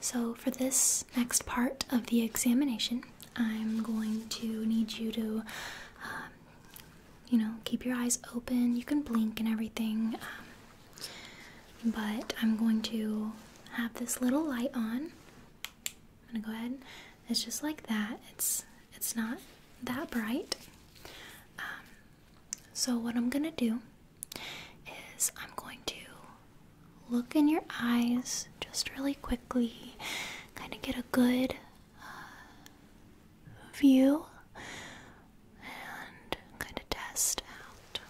So, for this next part of the examination, I'm going to need you to, um, you know, keep your eyes open. You can blink and everything, um, but I'm going to have this little light on, I'm gonna go ahead. It's just like that. It's it's not that bright. Um, so what I'm gonna do is I'm going to look in your eyes just really quickly, kind of get a good uh, view and kind of test out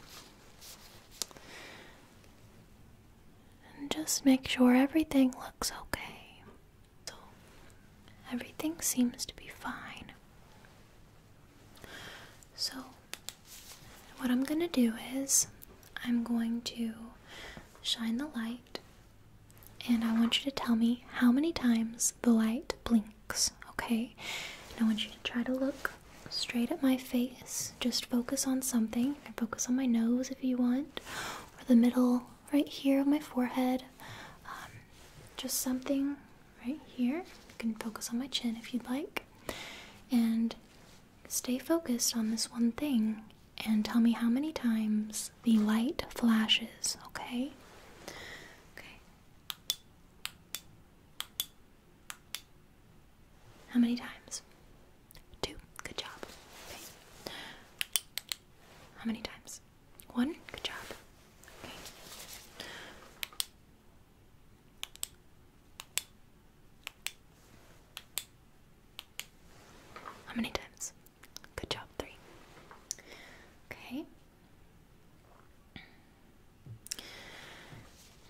and just make sure everything looks okay. everything seems to be fine. So, what I'm going to do is, I'm going to shine the light, and I want you to tell me how many times the light blinks, okay? And I want you to try to look straight at my face. Just focus on something. focus on my nose if you want, or the middle right here of my forehead. Um, just something right here. You can focus on my chin if you'd like. And stay focused on this one thing and tell me how many times the light flashes, okay? Okay. How many times? Two. Good job. How many times? One. Good job. Okay. How many times? Good job. Three. Okay.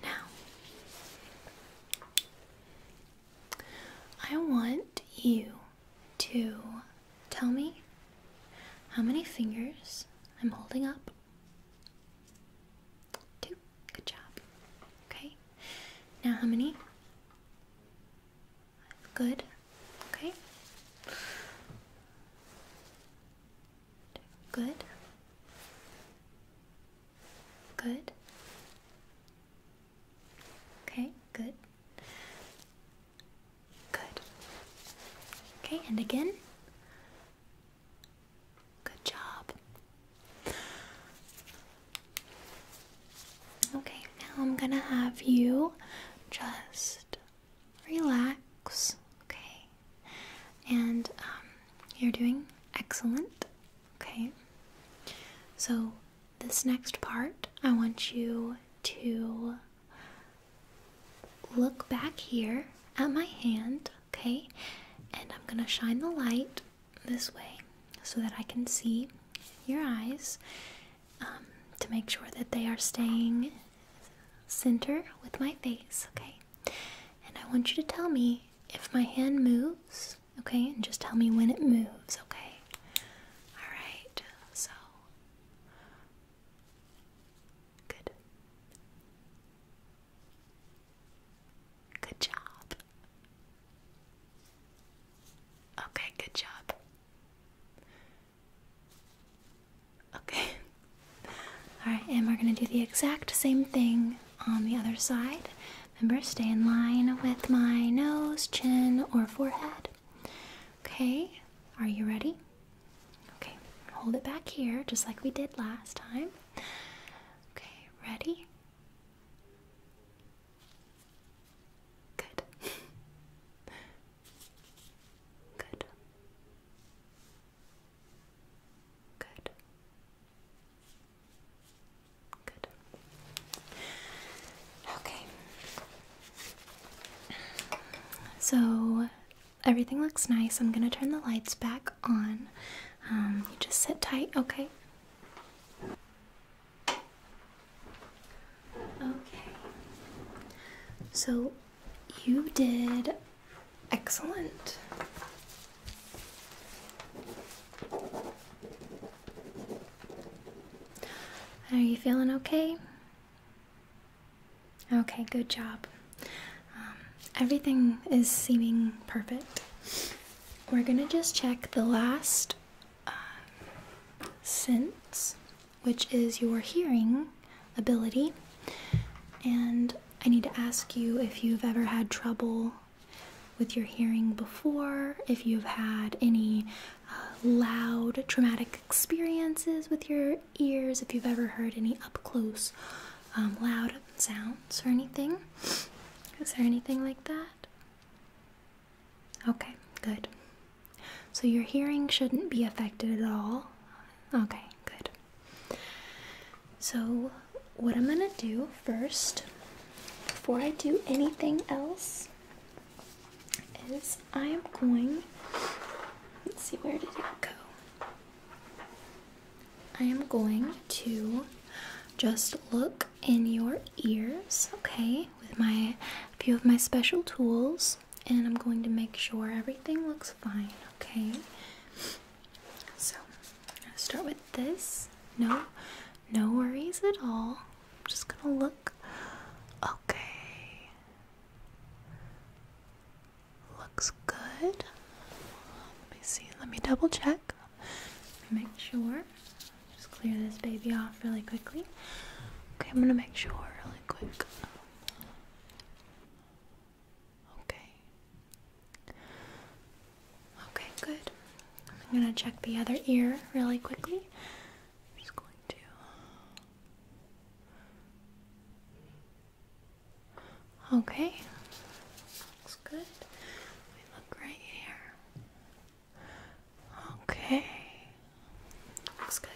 Now, I want you to tell me how many fingers I'm holding up. Two. Good job. Okay. Now, how many? Good. Okay. Good. Good. Okay, good. Good. Okay, and again. Good job. Okay, now I'm gonna have you just relax, okay? And um, you're doing excellent, okay? So this next part, I want you to look back here at my hand, okay? And I'm gonna shine the light this way so that I can see your eyes um, to make sure that they are staying center with my face, okay? And I want you to tell me if my hand moves okay? And just tell me when it moves, okay? Alright, so. Good. Good job. Okay, good job. Okay. Alright, and we're going to do the exact same thing on the other side. Remember, stay in line with my nose, chin, or forehead. Okay, are you ready? Okay, hold it back here just like we did last time. Okay, ready? Good. Good. Good. Good. Okay. So everything looks nice. I'm gonna turn the lights back on. Um, you just sit tight, okay? Okay. So you did excellent. Are you feeling okay? Okay, good job. Um, everything is seeming perfect. We're gonna just check the last uh, sense, which is your hearing ability. And I need to ask you if you've ever had trouble with your hearing before, if you've had any uh, loud traumatic experiences with your ears if you've ever heard any up close um, loud sounds or anything. Is there anything like that? Okay, good. So your hearing shouldn't be affected at all. Okay, good. So, what I'm gonna do first, before I do anything else, is I am going, let's see, where did it go? I am going to just look in your ears, okay, with my a few of my special tools, and I'm going to make sure everything looks fine, okay? So, I'll start with this. No, no worries at all. I'm just gonna look. Okay. Looks good. Let me see. Let me double check. Make sure. Just clear this baby off really quickly. Okay, I'm gonna make sure really quick. Okay. Okay, good. I'm gonna check the other ear really quickly i going to Okay. Looks good. We look right here. Okay. Looks good.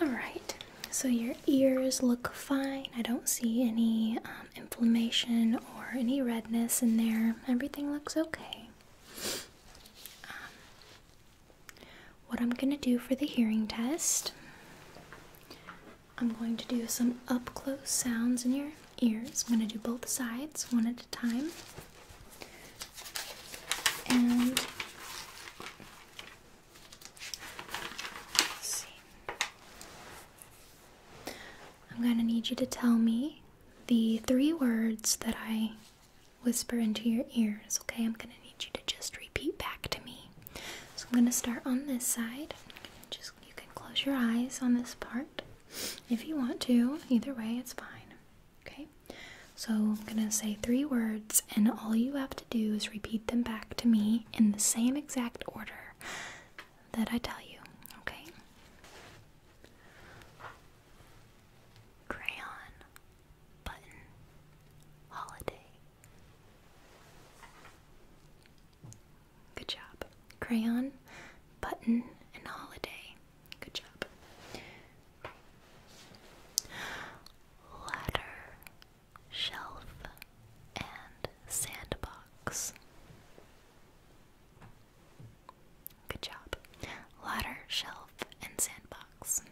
All right. So your ears look fine. I don't see any um, um, inflammation or any redness in there. Everything looks okay. Um, what I'm going to do for the hearing test, I'm going to do some up close sounds in your ears. I'm going to do both sides, one at a time. I'm going to need you to tell me the three words that I whisper into your ears, okay? I'm going to need you to just repeat back to me. So I'm going to start on this side. Just you can close your eyes on this part if you want to. Either way, it's fine. Okay? So I'm going to say three words and all you have to do is repeat them back to me in the same exact order that I tell you, okay? Crayon button holiday. Good job. Crayon button and holiday. Good job. Ladder shelf and sandbox. Good job. Ladder, shelf, and sandbox.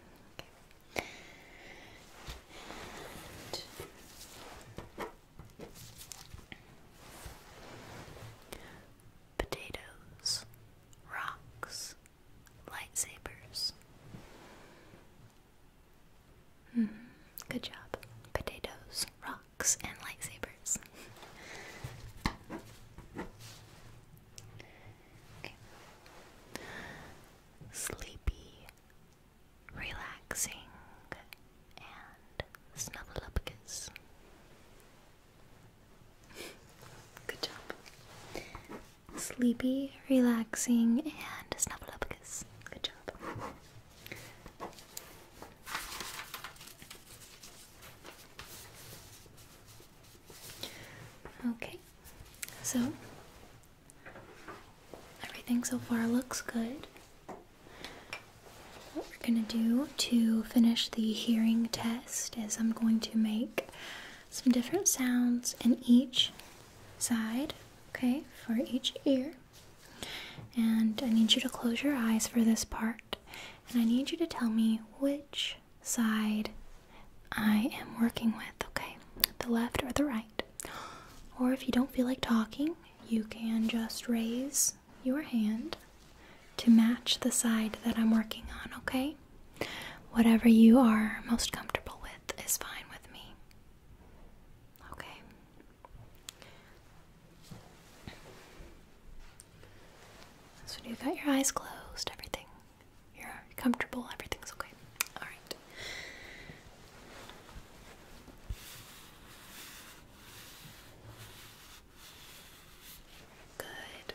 potatoes, rocks, lightsabers. -hmm. Good job. Potatoes, rocks and lightsabers. Sleepy, relaxing, and snubbleupicus. Good job. Sleepy, relaxing, and snubbleupicus. Good job. Okay, so everything so far looks good. What we're going to do to finish the hearing test is I'm going to make some different sounds in each side, okay, for each ear. And I need you to close your eyes for this part. And I need you to tell me which side I am working with, okay? The left or the right. Or if you don't feel like talking, you can just raise your hand to match the side that I'm working on, okay? Whatever you are most comfortable with is fine with me. Okay, so you have got your eyes closed, everything. You're comfortable, everything's okay. All right. Good. Good.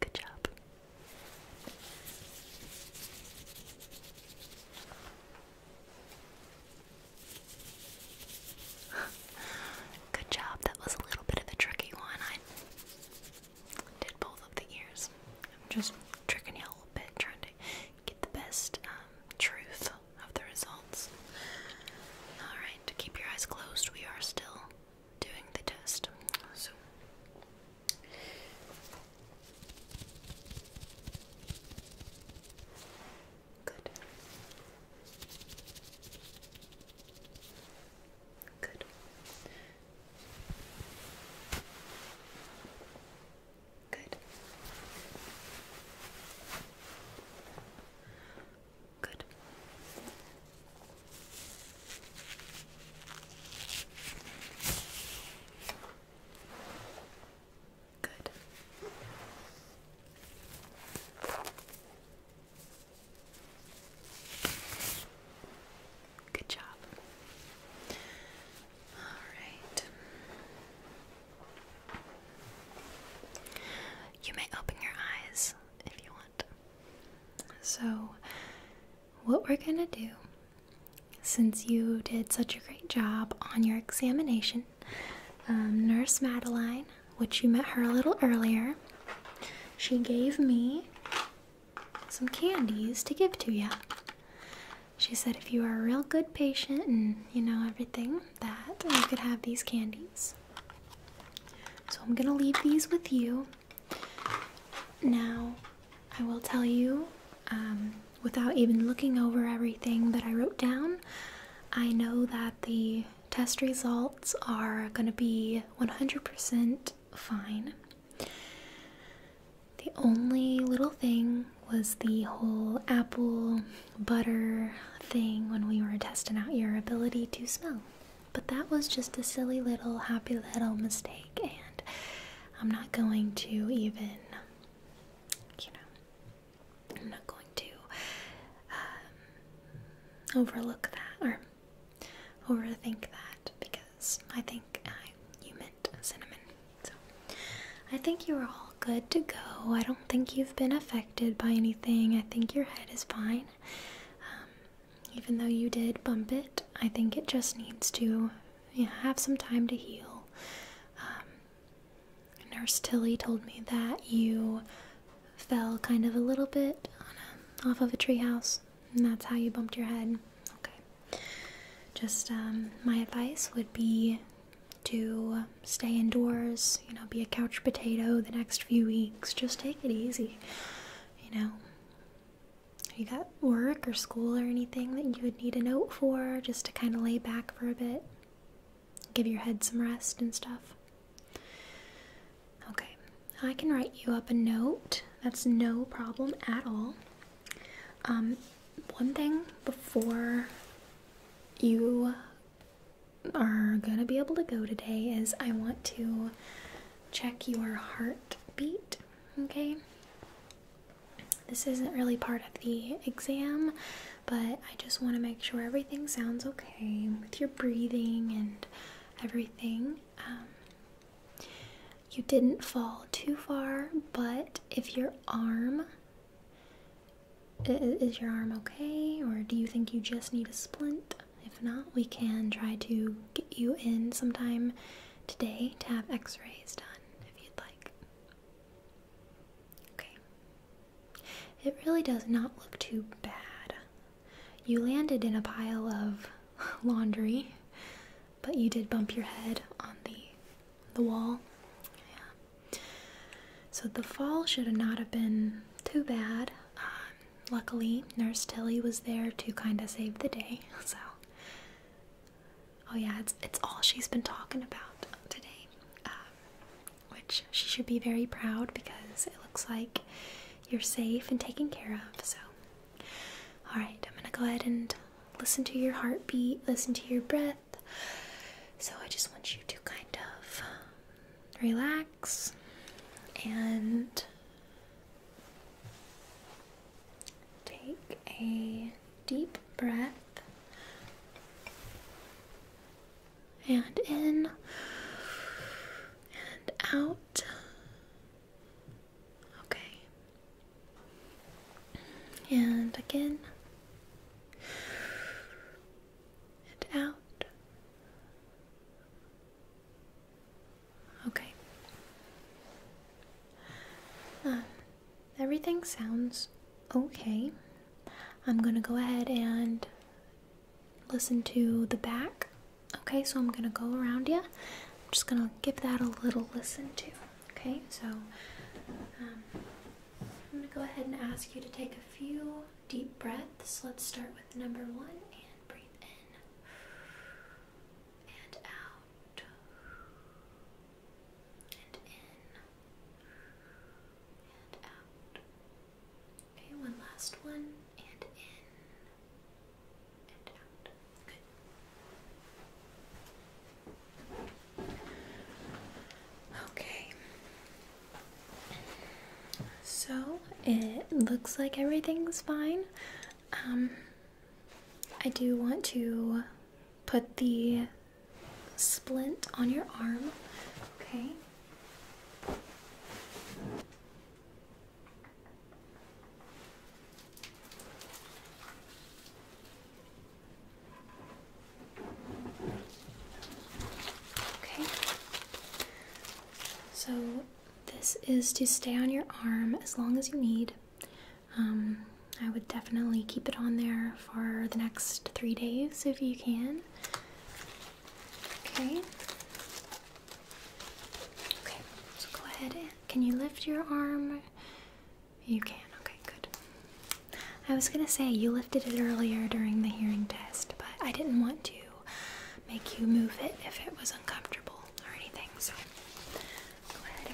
Good job. Good job. That was a little bit of a tricky one. I did both of the ears. I'm just tricking you a little bit, trying to get the best um, truth of the results. Alright, keep your eyes closed. We are still doing the test. good. Good. Good. Good. Good. Good job. All right. You may open your eyes if you want. So, what we're gonna do, since you did such a great job on your examination, um, Nurse Madeline, which you met her a little earlier, she gave me some candies to give to you. She said if you are a real good patient and you know everything, that you could have these candies. So I'm gonna leave these with you. Now, I will tell you, um, without even looking over everything that I wrote down, I know that the test results are going to be 100% fine. The only little thing was the whole apple butter thing when we were testing out your ability to smell. But that was just a silly little happy little mistake and I'm not going to even, you know, I'm not going to um, overlook that or overthink that because I think I, you meant cinnamon. So I think you're all good to go. I don't think you've been affected by anything. I think your head is fine. Um, even though you did bump it, I think it just needs to have some time to heal. Um, Nurse Tilly told me that you fell kind of a little bit off of a treehouse, and that's how you bumped your head. Okay. Just um, my advice would be to stay indoors, you know, be a couch potato the next few weeks. Just take it easy, you know you got work or school or anything that you would need a note for just to kind of lay back for a bit? Give your head some rest and stuff? Okay, I can write you up a note. That's no problem at all. Um, one thing before you are gonna be able to go today is I want to check your heartbeat okay? This isn't really part of the exam, but I just want to make sure everything sounds okay with your breathing and everything. Um, you didn't fall too far, but if your arm is your arm okay, or do you think you just need a splint? If not, we can try to get you in sometime today to have x rays done if you'd like. Okay. It really does not look too bad. You landed in a pile of laundry, but you did bump your head on the the wall. Yeah. So the fall should not have been too bad. Um, luckily, Nurse Tilly was there to kind of save the day, so Oh yeah, it's it's all she's been talking about today, um, which she should be very proud because it looks like you're safe and taken care of. So, all right, I'm gonna go ahead and listen to your heartbeat, listen to your breath. So I just want you to kind of um, relax and Take a deep breath and in and out. Okay. And again. And out. Okay. Um, everything sounds okay. I'm gonna go ahead and listen to the back. Okay, so I'm gonna go around you. I'm just gonna give that a little listen to. Okay, so um, I'm gonna go ahead and ask you to take a few deep breaths. Let's start with number one and breathe in and out and in and out. Okay, one last one and in and out. Good. Okay. So it looks like everything's fine. Um, I do want to put the splint on your arm, okay? Okay. So this is to stay on your arm as long as you need. Um, I would definitely keep it on there for the next three days if you can. Okay. Okay, so go ahead. Can you lift your arm? You can. Okay, good. I was gonna say you lifted it earlier during the hearing test, but I didn't want to make you move it if it was uncomfortable or anything. So Go ahead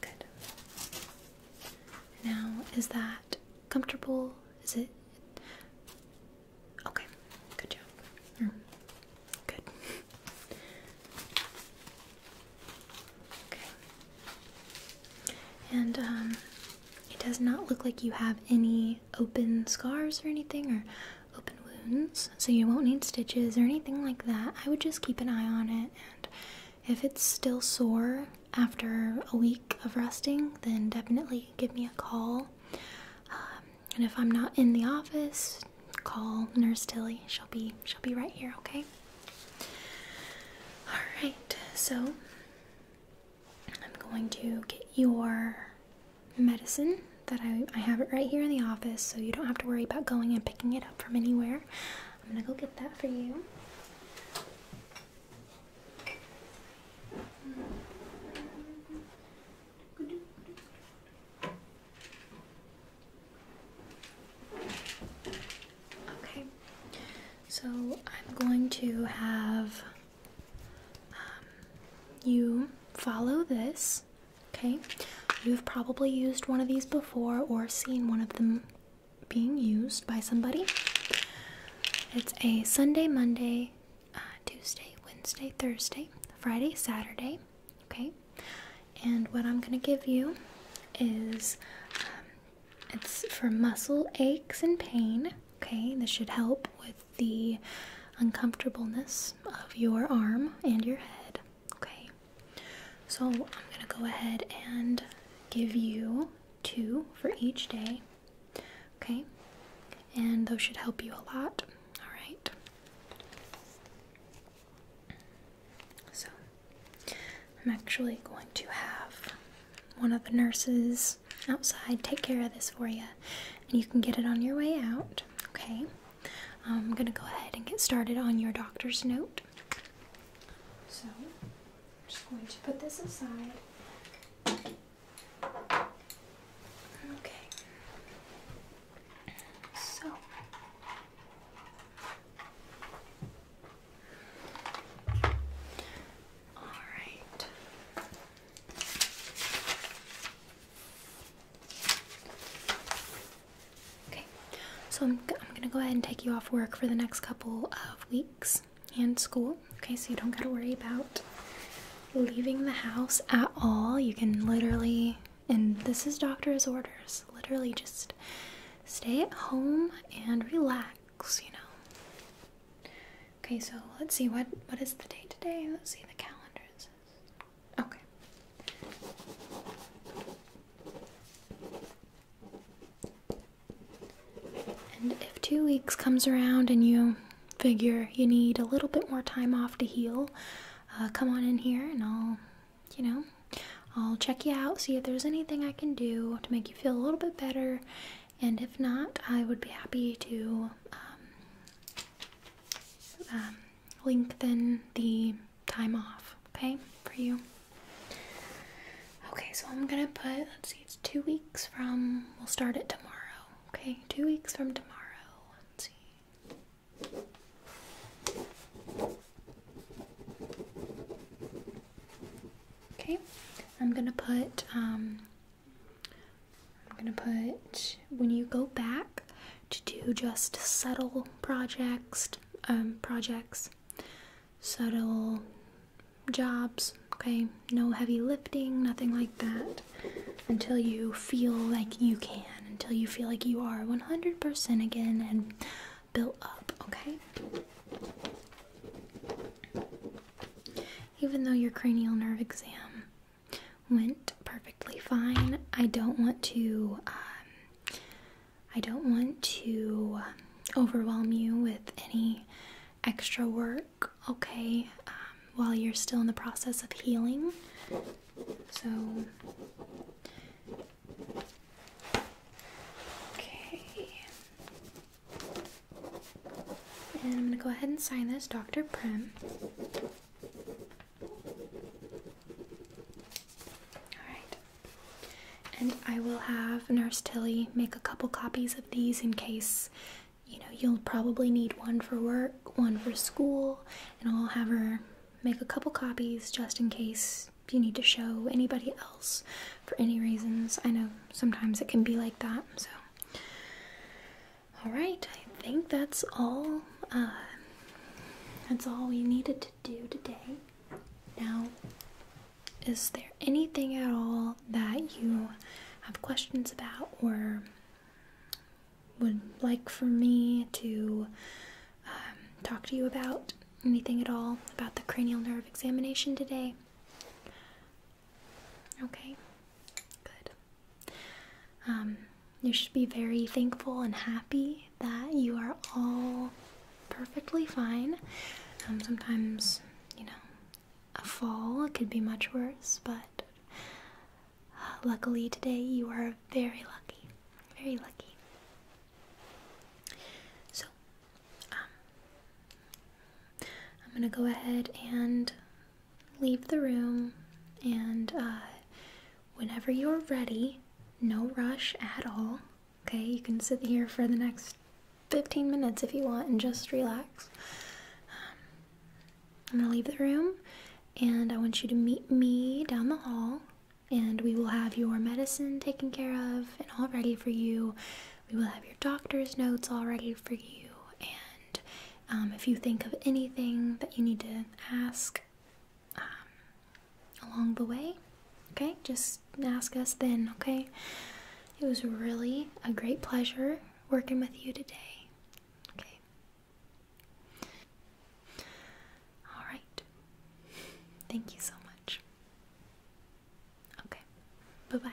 good. Now, is that comfortable? Is it okay? Good job. Mm. Good. okay. And um, it does not look like you have any open scars or anything or open wounds, so you won't need stitches or anything like that. I would just keep an eye on it, and if it's still sore after a week of resting, then definitely give me a call. Um, and if I'm not in the office, call Nurse Tilly. She'll be she'll be right here. Okay. All right. So I'm going to get your medicine that I, I have it right here in the office, so you don't have to worry about going and picking it up from anywhere. I'm gonna go get that for you. Okay, so I'm going to have um, you follow this. Okay, you've probably used one of these before or seen one of them being used by somebody. It's a Sunday, Monday, uh, Tuesday, Wednesday, Thursday, Friday, Saturday. Okay, and what I'm gonna give you is um, it's for muscle aches and pain. Okay, this should help with the uncomfortableness of your arm and your head. Okay, so I'm gonna go ahead and give you two for each day. Okay, and those should help you a lot. All right, so I'm actually going to have one of the nurses outside take care of this for you, and you can get it on your way out. Okay, I'm going to go ahead and get started on your doctor's note. So, I'm just going to put this aside. Okay. So, all right. Okay, so I'm, gonna go ahead and take you off work for the next couple of weeks and school. Okay, so you don't gotta worry about leaving the house at all. You can literally, and this is doctor's orders, literally just stay at home and relax, you know. Okay, so let's see what what is the date today? Let's see the calendar. says Okay. And if two weeks comes around and you figure you need a little bit more time off to heal, uh, come on in here and I'll, you know, I'll check you out, see if there's anything I can do to make you feel a little bit better. And if not, I would be happy to um, um, lengthen the time off, okay, for you. Okay, so I'm gonna put, let's see, it's two weeks from, we'll start it tomorrow, okay? Two weeks from tomorrow. Let's see. Okay, I'm gonna put um, I'm gonna put when you go back to do just subtle projects, um, projects, subtle jobs. Okay, no heavy lifting, nothing like that until you feel like you can, until you feel like you are 100% again and built up, okay? Even though your cranial nerve exam went perfectly fine. I don't want to um, I don't want to um, overwhelm you with any extra work, okay? Um, while you're still in the process of healing. So Okay. And I'm going to go ahead and sign this Dr. Prim. Alright. And I will have Nurse Tilly make a couple copies of these in case, you know, you'll probably need one for work, one for school, and I'll have her make a couple copies just in case you need to show anybody else for any reasons. I know sometimes it can be like that, so. All right, I think that's all. Uh, that's all we needed to do today. Now, is there anything at all that you have questions about or would like for me to um, talk to you about? Anything at all about the cranial nerve examination today? Okay, good. Um, you should be very thankful and happy that you are all perfectly fine. Um, sometimes, you know, a fall could be much worse, but uh, luckily today you are very lucky. Very lucky. So, um, I'm gonna go ahead and leave the room and uh, whenever you're ready, no rush at all. Okay, you can sit here for the next 15 minutes if you want and just relax. Um, I'm gonna leave the room and I want you to meet me down the hall and we will have your medicine taken care of and all ready for you. We will have your doctor's notes all ready for you. And um, if you think of anything that you need to ask, um, along the way. Okay, just ask us then, okay? It was really a great pleasure working with you today. Okay. All right. Thank you so much. Okay. Bye bye.